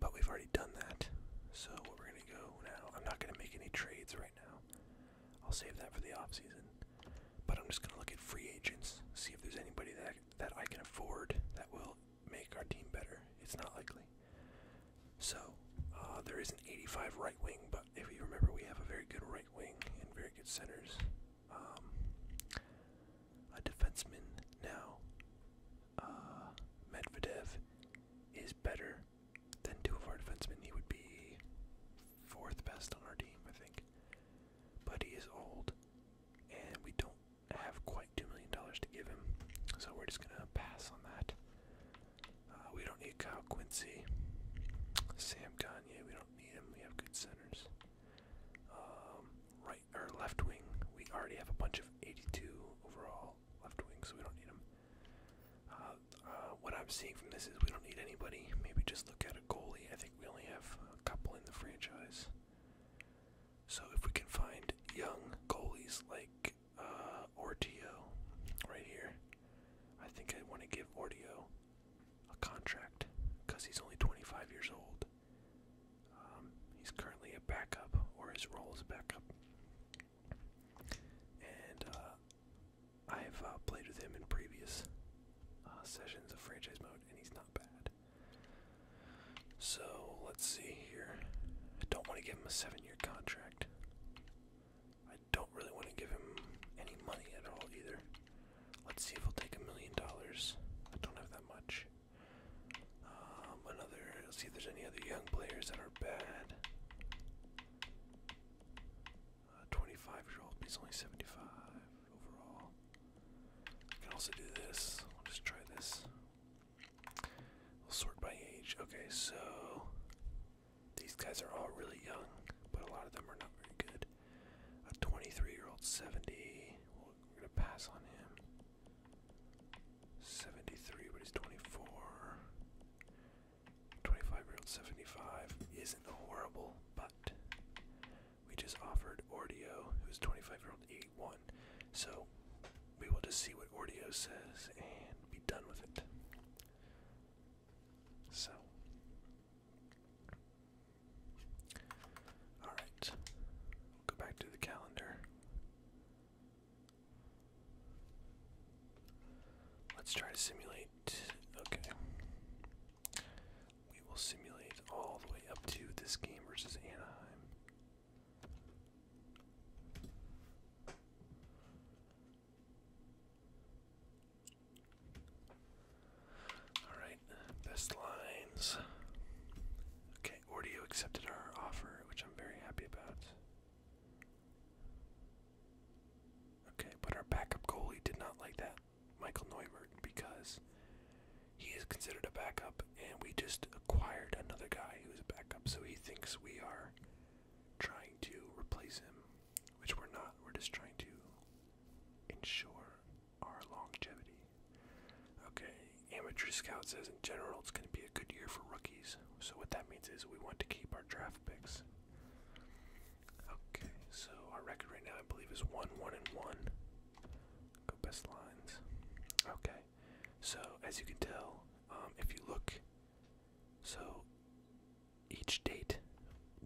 But we've already done that. So what we're gonna go now, I'm not gonna make any trades right now. I'll save that for the off season. But I'm just gonna look at free agents, see if there's anybody that that I can afford that will make our team better. It's not likely. So uh, there is an 85 right wing, but if you remember, we have a very good right wing and very good centers. Um, a defenseman now, uh, Medvedev, is better than two of our defensemen. He would be fourth best on our team, I think. But he is old, and we don't have quite $2 million to give him, so we're just going to pass on that. Uh, we don't need Kyle Quincy, Sam Gagne, we don't need him. We have good centers. Um, right or left wing, we already have a bunch of 82 overall left wing, so we don't need him. Uh, uh, what I'm seeing from this is we don't need anybody. Maybe just look at a goalie. I think we only have a couple in the franchise. So if we can find young goalies like uh, right here, I think I want to give Ordeo a contract because he's only 25 years old. Um, he's currently a backup, or his role is backup. And uh, I've uh, played with him in previous uh, sessions of franchise mode, and he's not bad. So let's see here. I don't want to give him a seven-year contract. I don't really want to give him any money at all either. Let's see if we will take a million dollars. I don't have that much. Um, another. Let's see if there's any other young players that are bad. 25 year old, he's only 75 overall. I can also do this. i will just try this. We'll sort by age. Okay, so these guys are all really young, but a lot of them are not very good. A 23 year old, 70. we're going to pass on him. 73, but he's 24. 25 year old, 75 is is horrible, but we just offered Ordeo, who's 25 year old, 81. So we will just see what Ordeo says and be done with it. So. Alright. go back to the calendar. Let's try to simulate. Okay. We will simulate all the way up to this game versus Anaheim. Alright, best lines. Okay, Ordeo accepted our offer, which I'm very happy about. Okay, but our backup goalie did not like that. Michael Neumert because he is considered a backup, and we just acquired another guy who's a backup, so he thinks we are trying to replace him, which we're not. We're just trying to ensure our longevity. Okay, Amateur Scout says in general it's going to be a good year for rookies, so what that means is we want to keep our draft picks. Okay, so our record right now I believe is one, one, and one. Go best lines. Okay, so as you can tell, um, if you look, so each date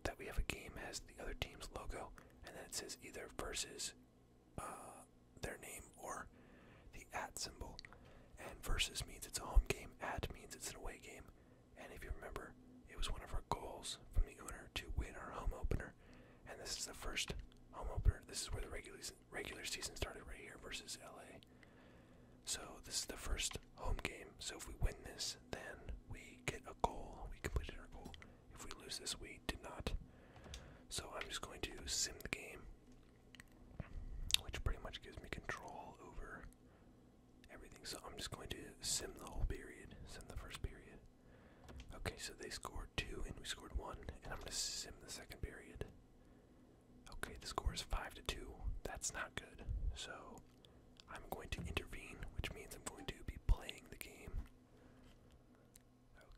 that we have a game has the other team's logo, and then it says either versus uh, their name or the at symbol. And versus means it's a home game, at means it's an away game. And if you remember, it was one of our goals from the owner to win our home opener. And this is the first home opener. This is where the regular regular season started right here versus LA. So this is the first home game. So if we win this, then we get a goal. We completed our goal. If we lose this, we did not. So I'm just going to sim the game, which pretty much gives me control over everything. So I'm just going to sim the whole period, sim the first period. Okay, so they scored two and we scored one, and I'm going to sim the second period. Okay, the score is five to two. That's not good. So I'm going to intervene, which means I'm going to be playing the game.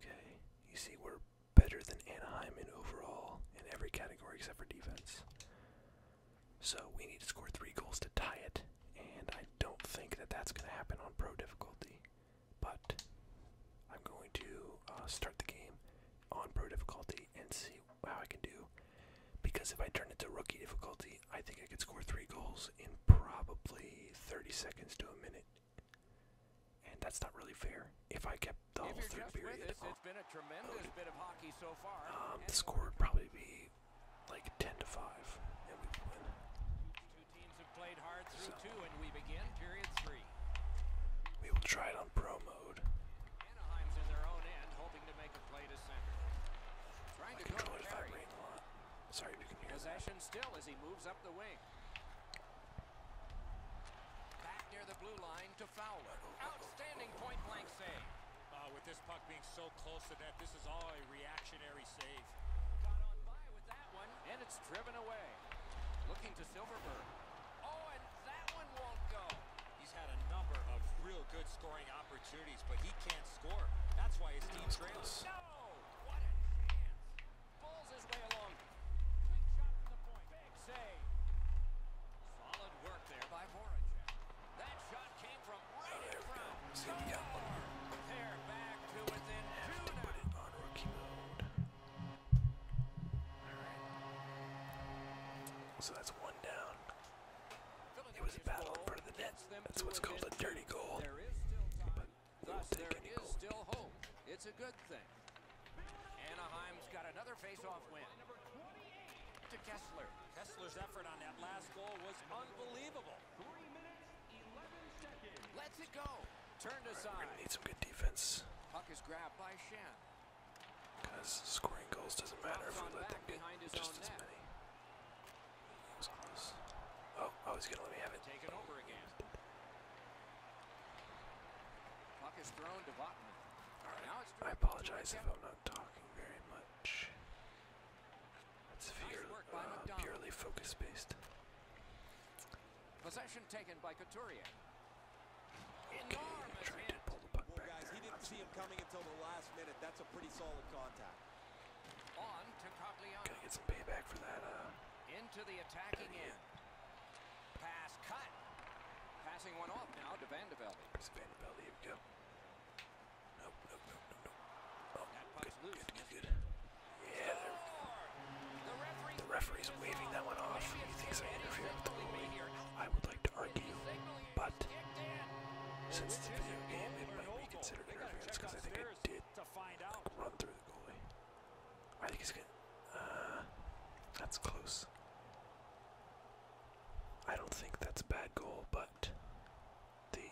Okay, you see we're better than Anaheim in overall in every category except for defense. So we need to score three goals to tie it, and I don't think that that's going to happen on pro difficulty. But I'm going to uh, start the game on pro difficulty and see how I can do. Because if I turn it to rookie difficulty, I think I could score three goals in probably 30 seconds to a minute. And that's not really fair. If I kept the whole third period, it's been a tremendous um, bit of hockey so far. the score would probably be like 10 to 5 and we win. Two teams have played hard through two and we begin period 3. We will try it on pro mode. Anaheim's in vibrating a lot. Sorry you can hear Possession still as he moves up the wing. Back near the blue line to Fowler. Oh, oh, oh, Outstanding point blank save. Uh, with this puck being so close to net. This is all a reactionary save. Got on by with that one, and it's driven away. Looking to Silverberg. Oh, and that one won't go. He's had a number of real good scoring opportunities, but he can't score. That's why his team trails. No! What a chance! Bulls his way along. Quick shot from the point. Big save. Solid work there by Voracek. That shot came from so that's one down. It was a battle in front of the net. That's what's called a dirty goal. But we'll take any goal. It's a good thing. Anaheim's got another face-off win. To Kessler. Kessler's effort on that last goal was unbelievable. Let's go. Turned aside. We're need some good defense. scoring goals doesn't matter if we let them get just as many. Oh, oh, he's going to let me have it. I apologize if I'm not talking very much. Uh, purely focus based. Possession taken by Couturier. Enormous That's a pretty solid contact. to get some payback for that. Uh, Into the attacking end. Pass cut. Passing one off now to Vandevelde. It's Vandevelde, Nope, nope, nope, The referee's waving that one off. He thinks I interfered with the ruling. I would like to argue, but since it's a video game, it might be considered interference because I think I did run through the goalie. I think he's good. Uh, that's close. I don't think that's a bad goal, but the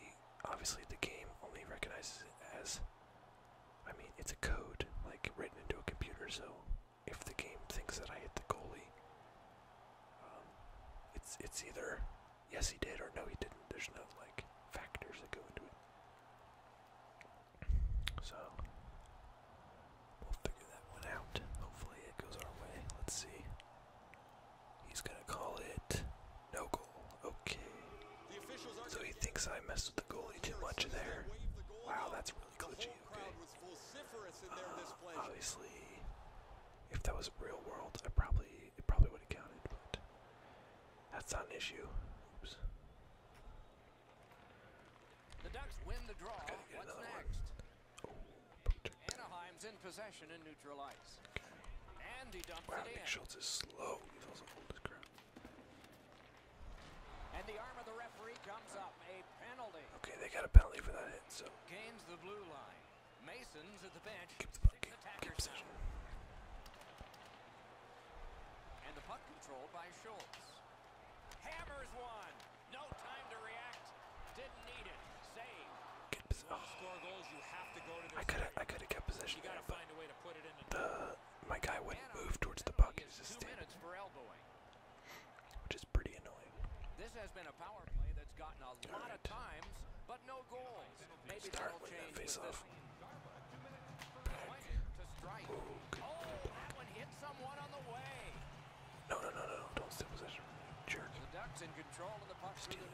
obviously the game only recognizes it as I mean it's a code like written into a computer so if the game thinks that I hit the goalie um, it's it's either yes he did or no he didn't there's no like factors that go into it so we'll figure that one out hopefully it goes our way let's see He's gonna call it no goal. Okay. So he thinks I messed with the goalie too much there. Wow, that's really glitchy. Okay. Uh, obviously, if that was real world, I probably it probably would have counted, but that's an issue. Oops. The Ducks win the draw. What's next? Oh, Anaheim's in possession in New and the arm of the referee comes up. A penalty. Okay, they got a penalty for that hit, so. Mason's at the bench. And the puck controlled by Schultz. Hammers one. No time to react. Didn't need it good position. Oh. I could have I could have kept possession there, but the my guy wouldn't move towards the puck. He's just standing, which is pretty annoying. This has been a power play that's gotten a lot of times, but no goals. Maybe Start with that face-off. Oh, the way. No, no, no, no! Don't steal possession, jerk. in control of the puck. Steal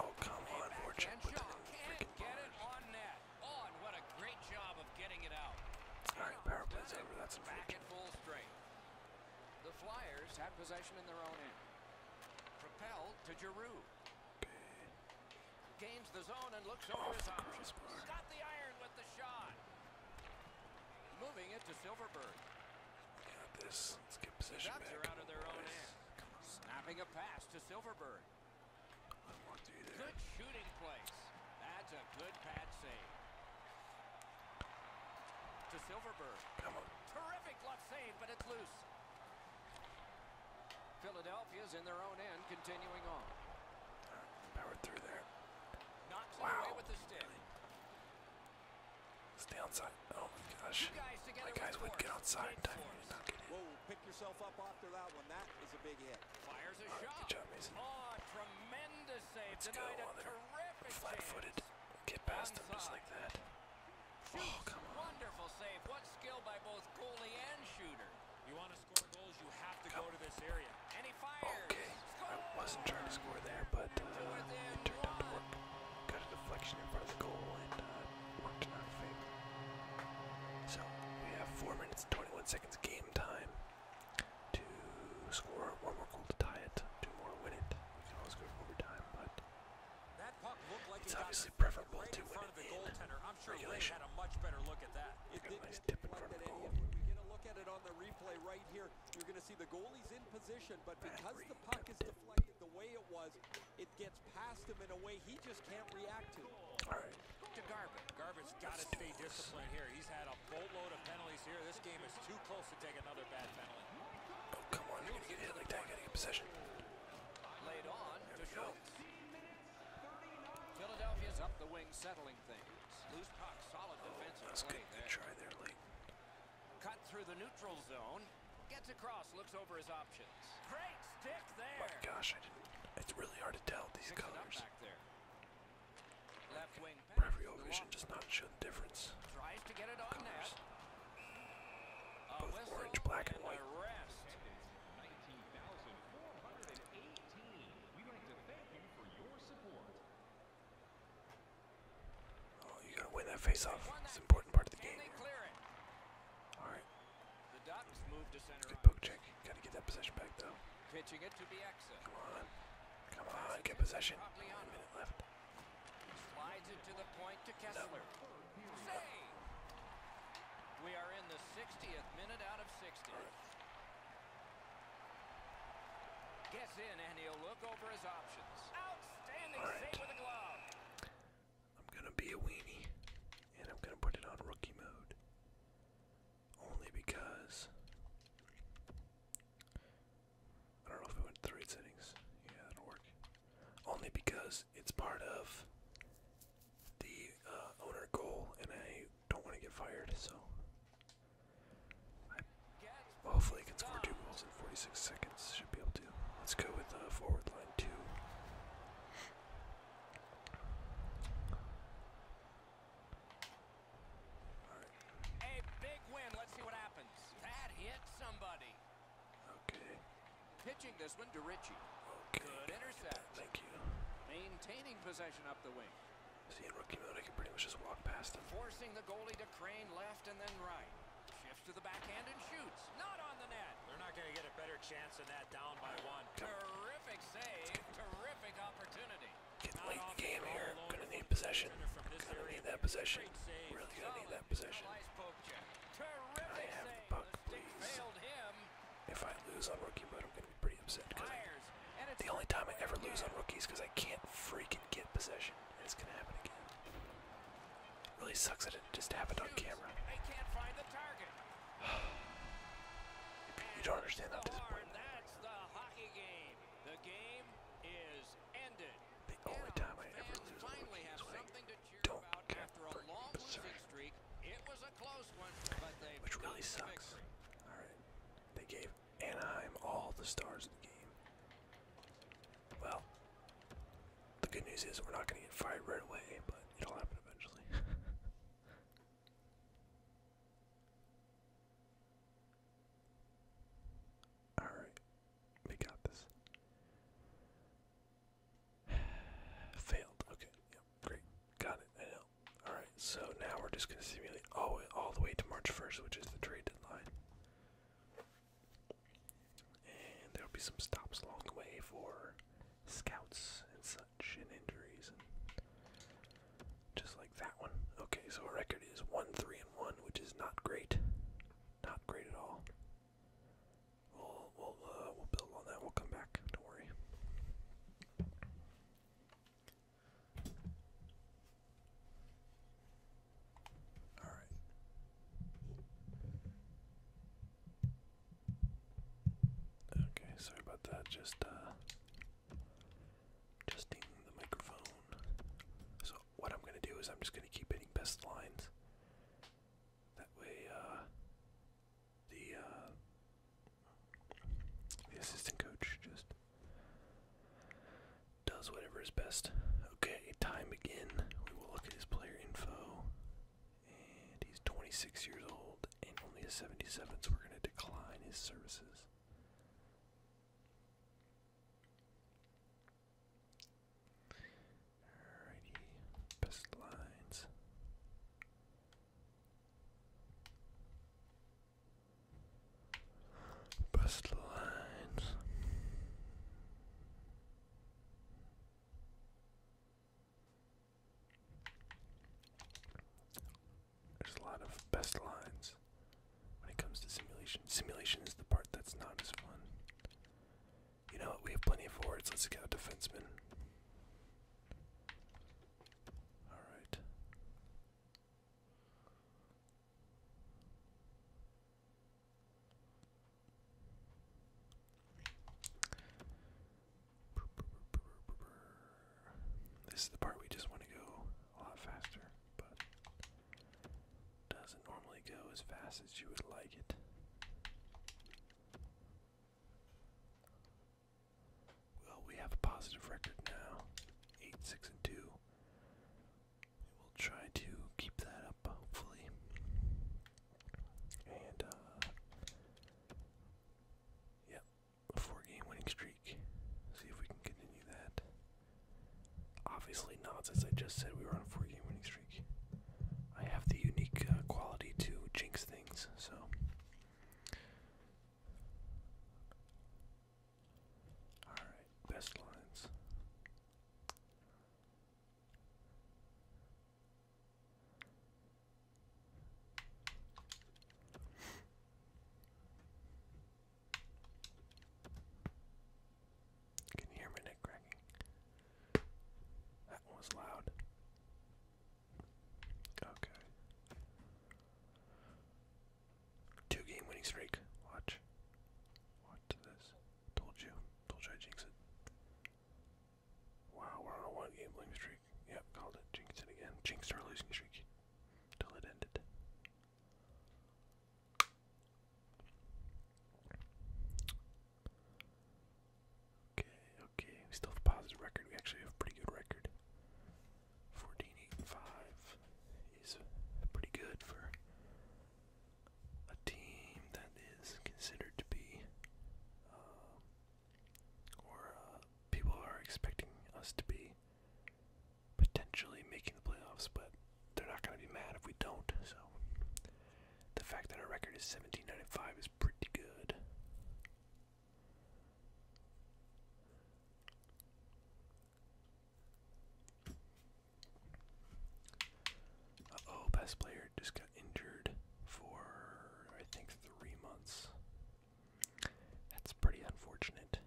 Oh, come on, Voracek. All right, power play's over. That's a Back The Flyers have possession in their own end. Propelled to Giroux. Gains the zone and looks oh, over his options. Got the iron with the shot. Moving it to Silverberg. Looking this. Let's get position back. Snapping a pass to Silverberg. Good shooting place. That's a good pad save. To Silverberg. Terrific left save, but it's loose. Philadelphia's in their own end, continuing on. power through there. Knocks wow. it away with the stick. It's the outside. Oh my gosh. You guys my guys would get outside and not get in. Whoa, pick yourself up after that one. That is a big hit. Fires a right, shot. Good job, Mason. Oh, tremendous save. Let's Denied go while they're flat-footed. Get past them just like that. Oh, come on. Wonderful save. What skill by both goalie and shooter. You want to Okay, I wasn't trying to score there, but uh, it turned out to work. Got deflection in front of the goal and uh, worked our favor. So we have four minutes 21 seconds game time to score one more goal to tie it, two more win it. We can always go to overtime, but that it's obviously preferable to win it in, regulation. a much better look at that. Look at a nice tip in front of the goal. We get look at it on the replay right here. You're going to see the goalie's in position, but because the puck is deflected the way it was, it gets past him in a way he just can't react to. All right. Garvin. Garvin's got to stay disciplined here. He's had a boatload of penalties here. This game is too close to take another bad penalty. Oh, come on. You're going to get hit like that. Got possession. Laid on there to Schultz. Philadelphia's up the wing settling controlling things. Loose puck, solid defensive try there, late. Cut through the neutral zone. Gets across, looks over his options. gosh, it's really hard to tell these colors. Peripheral vision does not show the difference. Both orange, black, and, white. Oh, you gotta win that face-off. It's an important part of the game. Alright. Good poke check. Gotta get that possession back, though. Come on. Come on, get possession. minute left. We are in the 60th minute out of 60 and he'll look over his options. Outstanding right. with a glove. I'm gonna be a weenie, and I'm gonna put it on rookie mode. Only because I don't know if it went to the Yeah, that'll work. Only because it's part of the uh, owner goal, and I don't want to get fired, so I hopefully, can score two goals in 46 seconds. Should be able to. Let's go with the uh, forward line two. All right. A big win. Let's see what happens. That hit somebody. Okay. Pitching this one to Richie. Good intercept. Thank you. Maintaining possession up the wing. See, in rookie mode, I can pretty much just walk past him. Forcing the goalie to crane left and then right. Shifts to the backhand and shoots. Not on the net. They're not going to get a better chance than that down by one. Terrific save. Terrific opportunity. Get late in the game here. Going to need possession. Going to need that possession. Really going to need that possession. I have the puck, please. If I lose on rookie mode, pretty upset because the only time I ever lose on rookies is because I can't freaking get possession, it's gonna happen again. really sucks that it just happened on camera. you don't understand how disappointing. That's the hockey game. The game is ended. The only time I ever lose on rookies is when I don't get freaking possession, which really sucks. All right, they gave and I'm all the stars in the game. Well, the good news is we're not going to get fired right away, but it'll happen eventually. Alright, we got this. Failed. Okay, yep, great. Got it. I know. Alright, so now we're just going to simulate all, all the way to March 1st, which is the trade deadline. And there'll be some stops along the way for scouts and such, and injuries, and just like that one. Okay, so our record is 1 3 and 1, which is not great. Not great at all. We'll, we'll, uh, we'll build on that. We'll come back. Don't worry. All right. Okay, sorry about that. Just uh, adjusting the microphone. So what I'm gonna do is I'm just gonna keep hitting best lines. That way, uh, the uh, the assistant coach just does whatever is best. Okay, time again. We will look at his player info. And he's 26 years old and only a 77, so we're going to decline his services. Alrighty, best lines. Bust lines. There's a lot of best lines when it comes to simulation. Simulation is the part that's not as fun. You know what? We have plenty of forwards. Let's get a defenseman. Alright. This is the part we just want to go a lot faster, but doesn't normally go as fast as you would like it. Well, we have a positive record now. Eight, six, and two. We'll try to keep that up, hopefully. And uh, Yep, a four game winning streak. See if we can continue that. Obviously not, as I just said we were on a four game winning streak. I have the unique uh, quality to jinx things, so Alright, best lines. Can you hear my neck cracking? That was loud. Okay. Two game winning streak. Watch. Watch this. Told you. Told you I it. Wow, we're on one game winning streak. Yep, called it. Jinxed it again. Jinxed our losing streak. Till it ended. Okay, okay. We still have a positive record. We actually have a pretty good record. 14, 8, and 5 is pretty good for a team that is considered to be, um, or uh, people are expecting us to be potentially making the playoffs, but they're not going to be mad if we don't. So the fact that our record is 17, 9, and 5 is pretty good oh best player just got injured for I think three months. That's pretty unfortunate.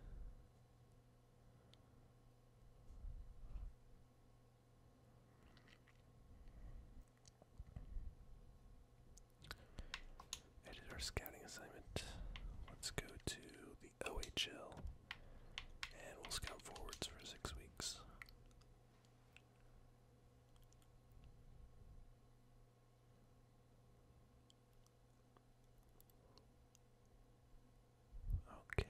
I our scouting assignment. Let's go to the OHL and we'll scout forwards for six weeks. Okay.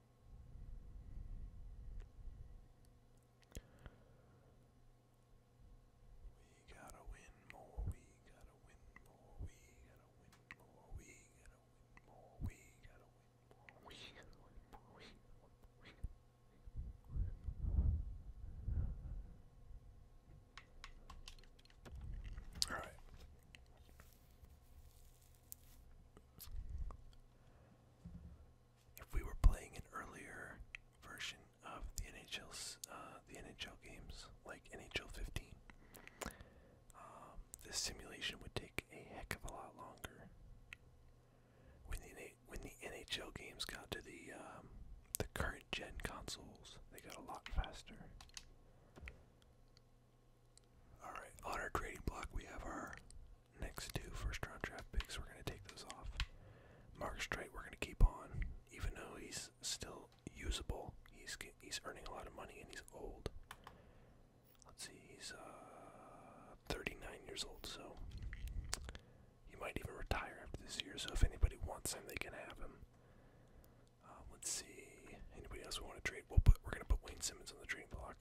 We gotta win more, we gotta win more, we gotta win more, we gotta win more, we gotta win more, we gotta win more, Alright if we were playing an earlier version of the NHL's uh, the NHL games, like NHL 15, um, this simulation would take a heck of a lot longer. When the when the NHL games got to the um, the current gen consoles, they got a lot faster. Alright, on our trading block we have our next two first round draft picks, we're going to take those off. Mark Straight, we're going to keep on, even though he's still usable. He's he's earning a lot of money and he's old. Let's see, he's uh, 39 years old, so he might even retire after this year. So if anybody wants him, they can have him. Uh, let's see, anybody else we want to trade? we we're gonna put Wayne Simmons on the trade block.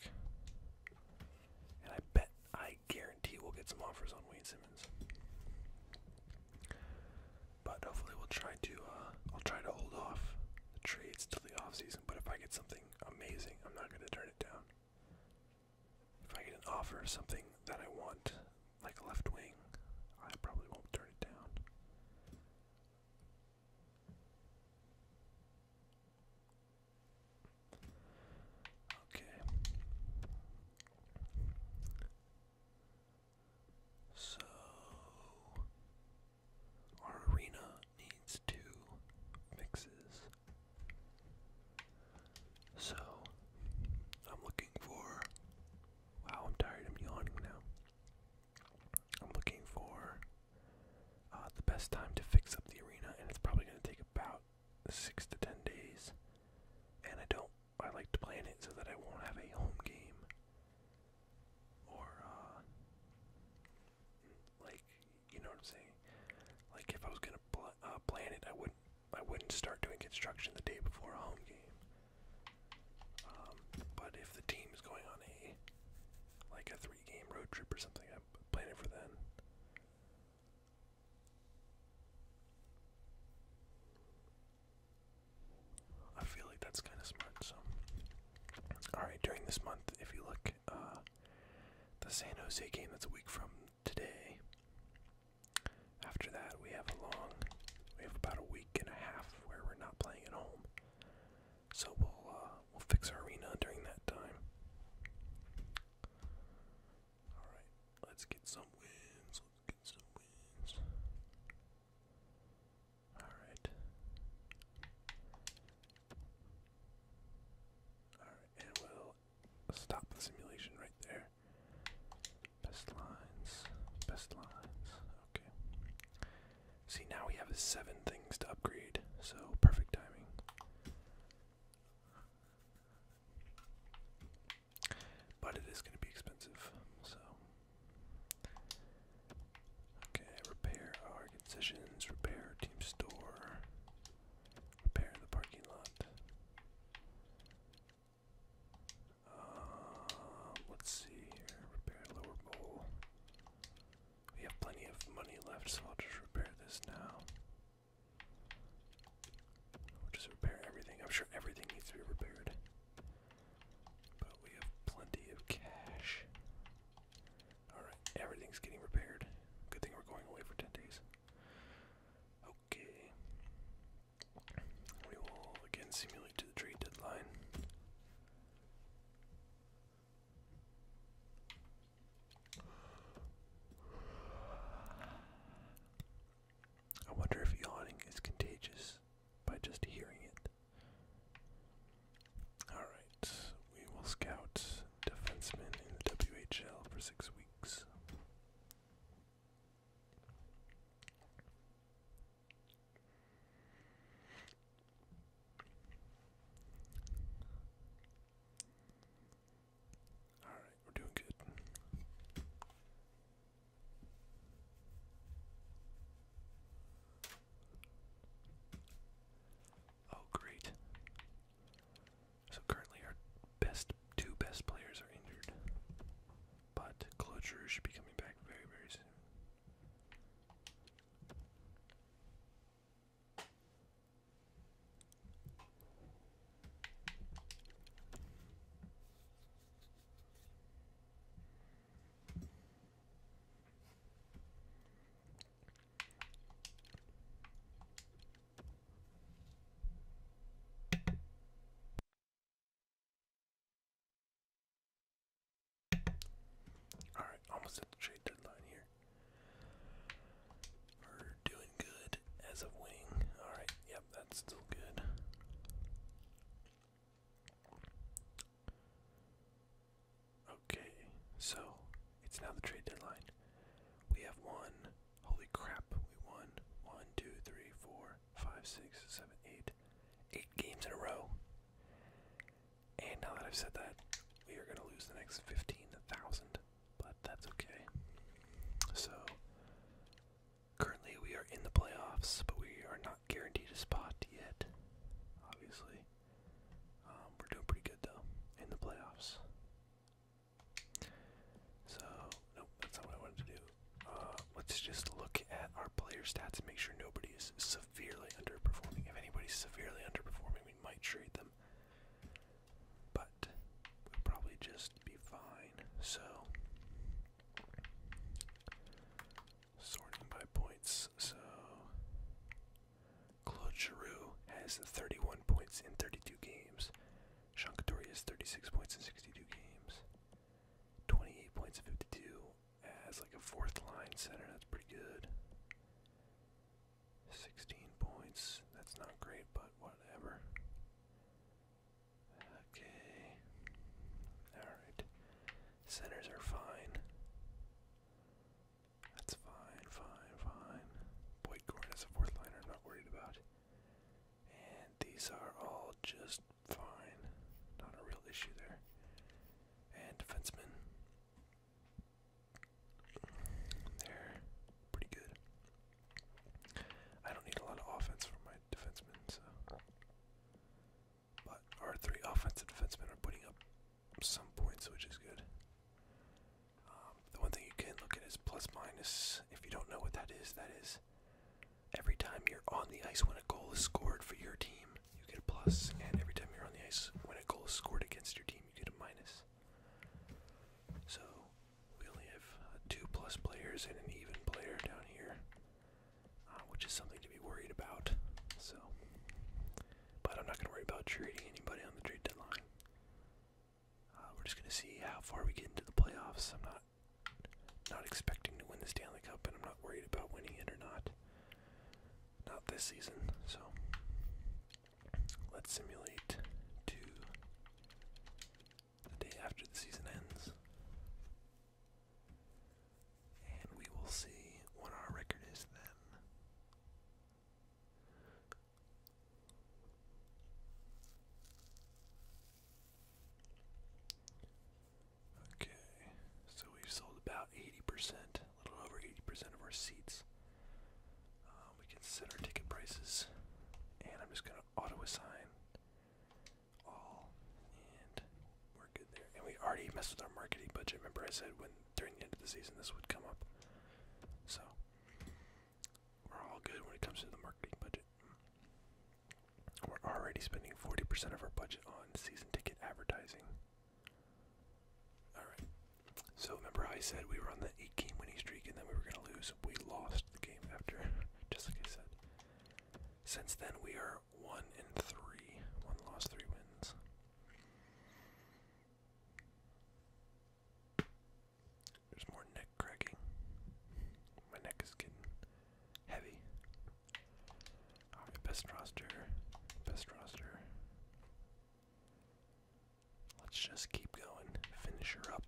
And I bet, I guarantee we'll get some offers on Wayne Simmons. But hopefully we'll try to, uh, I'll try to hold off the trades till the offseason. But if I get something amazing, I'm not going to turn it down. If I get an offer something that I want, like left wing, I probably won't turn it down. Okay. So our arena needs two mixes. So I'm looking for wow, I'm tired, I'm yawning now. I'm looking for uh, the best time to fix up the arena, and it's probably going to take about six to ten days. And I don't, I like to plan it so that I won't have a home game or, uh, like, you know what I'm saying? Like, if I was going to uh, plan it, I wouldn't. I wouldn't start doing construction the day before a home game. Um, but if the team is going on a like a three-game road trip or something, I plan it for then. I feel like that's kind of smart. So, all right. During this month, if you look, uh, the San Jose game that's a week from today. After that, we have a long, we have about a week and a half where we're not playing at home. So we'll uh, we'll fix our arena during that time. Alright, let's get some wins. Let's get some wins. Alright. Alright, and we'll stop the simulation right there. Best lines. Best lines. Okay. See, now we have seven things to upgrade, so perfect timing. But it is going to be expensive, so. Okay, repair our concessions, repair team store, repair the parking lot. Um, let's see repair lower bowl. We have plenty of money left, so I'll just repair this now. We'll just repair everything. I'm sure everything needs to be repaired. But we have plenty of cash. Alright, everything's getting repaired. Good thing we're going away for 10 days. Okay. We will again simulate to the trade deadline. I wonder if yawning is contagious by just hearing it. Alright, we will scout defensemen in the WHL for six weeks. Alright, we're doing good. Oh, great. So currently our best two best players are injured. But Cloture should be coming back very, very soon. All right, almost at the trade deadline here. We're doing good as a wing. Alright, yep, that's still good. Okay, so it's now the trade deadline. We have won. Holy crap, we won. One, two, three, four, five, six, seven, eight. Eight games in a row. And now that I've said that, we are going to lose the next 15,000 but that's okay. So currently we are in the playoffs, but we are not guaranteed a spot yet. Obviously, um, we're doing pretty good though in the playoffs. So nope, that's not what I wanted to do. Uh, let's just look at our player stats and make sure nobody is severely underperforming. If anybody's severely underperforming, we might trade them but probably just be fine. So, sorting by points. So, Claude Giroux has 31 points in 32 games. Sean Couturier has 36 points in 62 games. 28 points in 52 as like a fourth line center. That's pretty good. 16 points. That's not great, but whatever. Okay. Alright. Centers are fine. That's fine, fine, fine. Boyd Gordon is a fourth liner I'm not worried about. And these are all just fine. Not a real issue there. And defenseman they pretty good. I don't need a lot of offense from my defensemen, so. But our three offensive defensemen are putting up some points, which is good. Um, the one thing you can look at is plus minus. If you don't know what that is, that is every time you're on the ice when a goal is scored for your team, you get a plus, and every time you're on the ice when a goal is scored against your team, you get a minus. So we only have uh, two plus players and an even player down here, uh, which is something to be worried about. So, but I'm not going to worry about trading anybody on the trade deadline. Uh, we're just going to see how far we get into the playoffs. I'm not not expecting to win the Stanley Cup, and I'm not worried about winning it or not. Not this season. So Let's simulate to the day after the season ends. And we will see what our record is then. Okay, so we sold about 80% a little over 80% of our seats. Um, we can set our ticket prices, and I'm just going to auto assign all, and we're good there. And we already messed with our marketing budget. Remember, I said when during the end of the season this would come up. So we're all good when it comes to the marketing budget. We're already spending 40% of our budget on season ticket advertising. Alright. So remember I said we were on the eight game winning streak and then we were gonna lose. We lost the game after, just like I said. Since then we are one in three. One loss, three wins. There's more neck cracking. My neck is getting heavy. best roster. Best roster. Let's just keep going. Finish her up.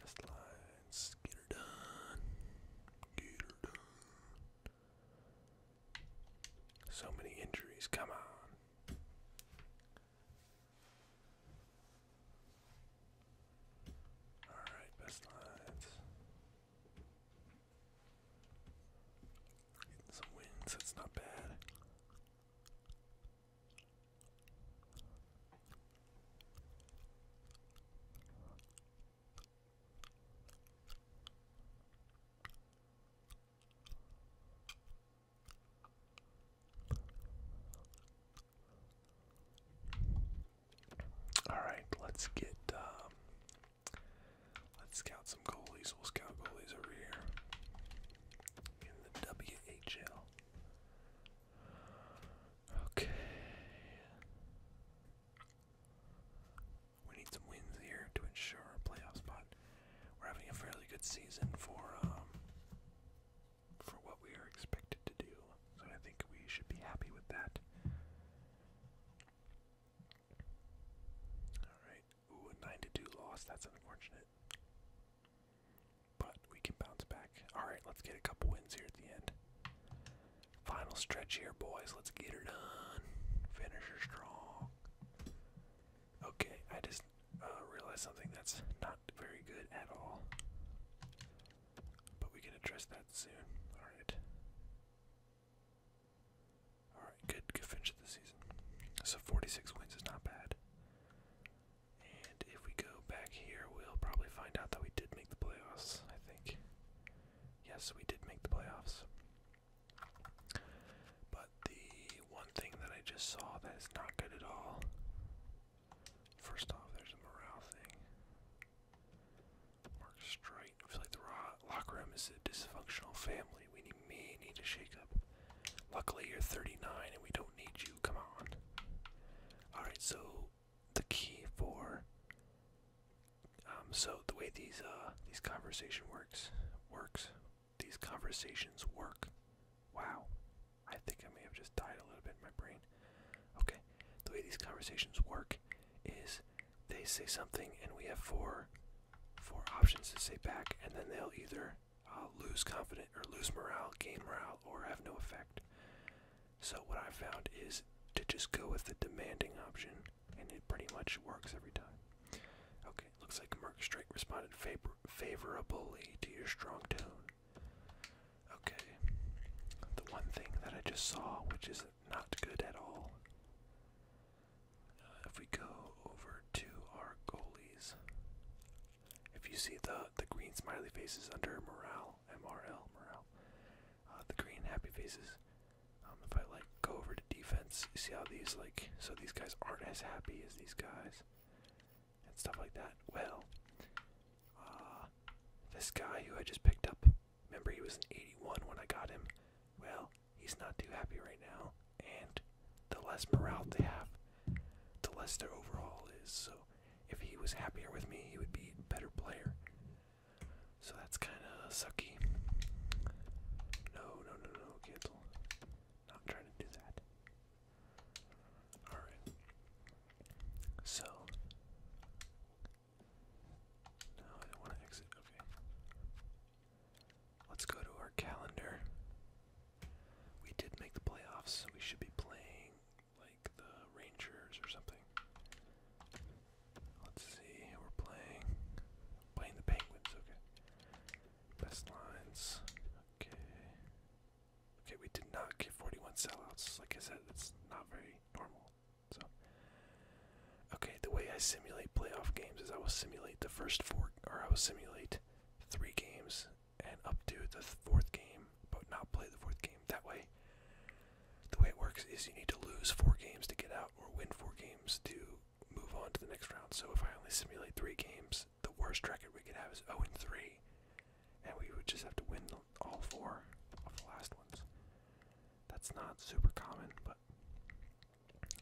Best lines. Get her done. Get her done. So many injuries. Come on. Alright, best lines some wins, that's not bad. All right, let's get um, Let's scout some goalies. We'll scout goalies over here in the WHL. Okay. We need some wins here to ensure a playoff spot. We're having a fairly good season for um, for what we are expected to do. So I think we should be happy with that. Alright. Ooh, a 9 to 2 loss. That's unfortunate. But we can bounce back. Alright, let's get a couple wins here at the end. Final stretch here, boys. Let's get her done. Finisher strong. Okay, I just uh, realized something that's not very good at all. But we can address that soon. Alright. Alright, good good finish of the season. So forty six wins is not bad. And if we go back here we'll probably find out that we did make the playoffs, I think. Yes, we did make the playoffs. But the one thing that I just saw that is not good at all. First off, there's a morale thing. Mark straight. I feel like the locker room is a dysfunctional family. We need, may need a shakeup. Luckily, you're 39 and we don't need you. Come on. Alright, so the key for. Um, so the way these uh these conversation works works these conversations work. Wow, I think I may have just died a little bit in my brain. Okay, the way these conversations work is they say something, and we have four four options to say back, and then they'll either uh, lose confidence or lose morale, gain morale, or have no effect. So what I found is to just go with the demanding option, and it pretty much works every time. Okay, looks like Merc Strike responded favor favorably to your strong tone. Okay, the one thing that I just saw, which is not good at all. Uh, if we go over to our goalies, if you see the the green smiley faces under morale, MRL morale, uh, the green happy faces. Um, if I like go over to defense, you see how these like so these guys aren't as happy as these guys and stuff like that. Well, uh, this guy who I just picked up Remember, he was an 81 when I got him. Well, he's not too happy right now, and the less morale they have, the less their overall is. So, if he was happier with me, he would be a better player. So that's kind of sucky. No, no, no, no, cancel. Not trying to do that. Alright. So, no, I don't want to exit. Okay. Let's go to our calendar. We did make the playoffs. So we should be playing like the Rangers or something. Let's see. We're playing playing the Penguins. Okay. Best lines. Okay. Okay, we did not get 41 sellouts. Like I said, it's not very normal. So, okay, the way I simulate playoff games is I will simulate the first four, or I will simulate three games and up to the fourth game, but not play the fourth game. That way, the way it works is you need to lose four games to get out, or win four games to move on to the next round. So if I only simulate three games, the worst record we could have is 0 and 3, and we would just have to win all four of the last ones. That's not super common, but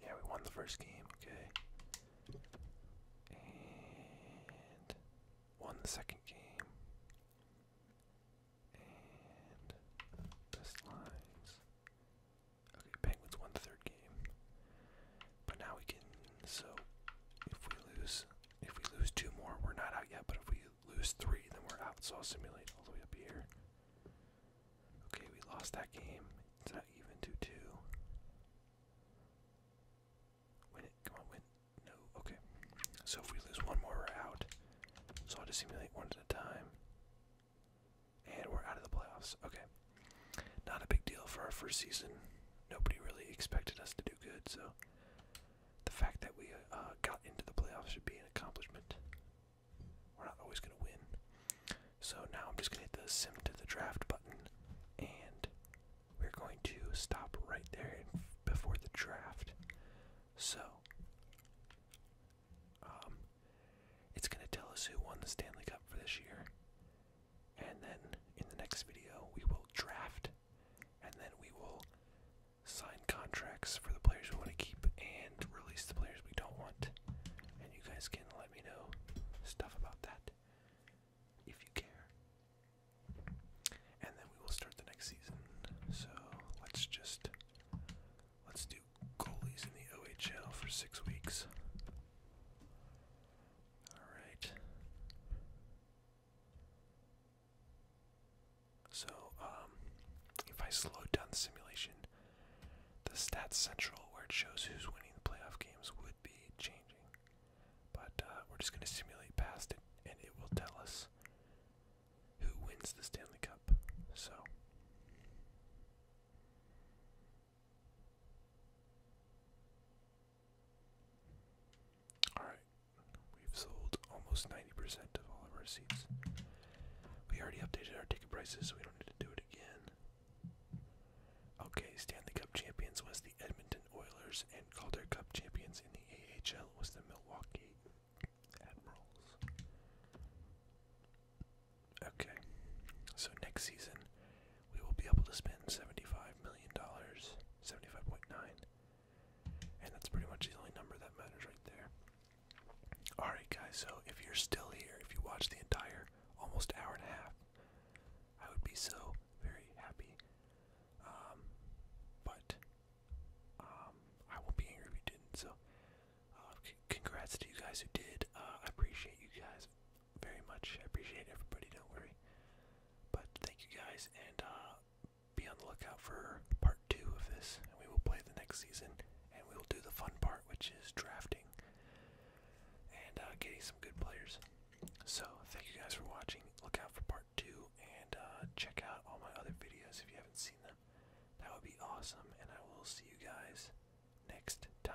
yeah, we won the first game, okay. And won the second game. And best lines. Okay, Penguins won the third game. But now we can so if we lose if we lose two more, we're not out yet, but if we lose three, then we're out. So I'll simulate all the way up here. Okay, we lost that game. It's not even 2 2. Win it. Come on, win. No. Okay. So if we lose one more, we're out. So I'll just simulate one at a time. And we're out of the playoffs. Okay. Not a big deal for our first season. Nobody really expected us to do good, so the fact that we uh, got into the playoffs should be an accomplishment. We're not always going to win. So now I'm just going to hit the sim to the draft button and we're going to stop right there before the draft. So um it's going to tell us who won the Stanley Cup for this year. And then in the next video we will draft and then we will sign contracts for the players we want to keep and release the players we don't want. And you guys can let me know stuff about that if you care. And then we will start the next season. So let's just let's do goalies in the OHL for six weeks. All right. So, um, if I slow down the simulation, the stats central where it shows who's winning the playoff games would be changing. But uh, we're just going to simulate past it, and it will tell us who wins the Stanley Cup. So. Alright, we've sold almost 90% of all of our seats. We already updated our ticket prices, so we don't need to do it again. Okay, Stanley Cup champions was the Edmonton Oilers, and Calder Cup champions in the AHL was the Milwaukee Admirals. Okay, so next season we will be able to spend $75 million, 75.9, and that's pretty much the only number that matters right there. Alright, guys, so if you're still here, if you watched the entire almost hour and a half, I would be so very happy. Um, but um, I won't be angry if you didn't, so uh, congrats to you guys who did. Uh, I appreciate you guys very much. I appreciate everybody, don't worry. But thank you guys, and uh, be on the lookout for part two of this, and we will play the next season and we will do the fun part, which is drafting and uh, getting some good players. So, thank you guys for watching. Look out for part two and uh, check out all my other videos if you haven't seen them. That would be awesome, and I will see you guys next time.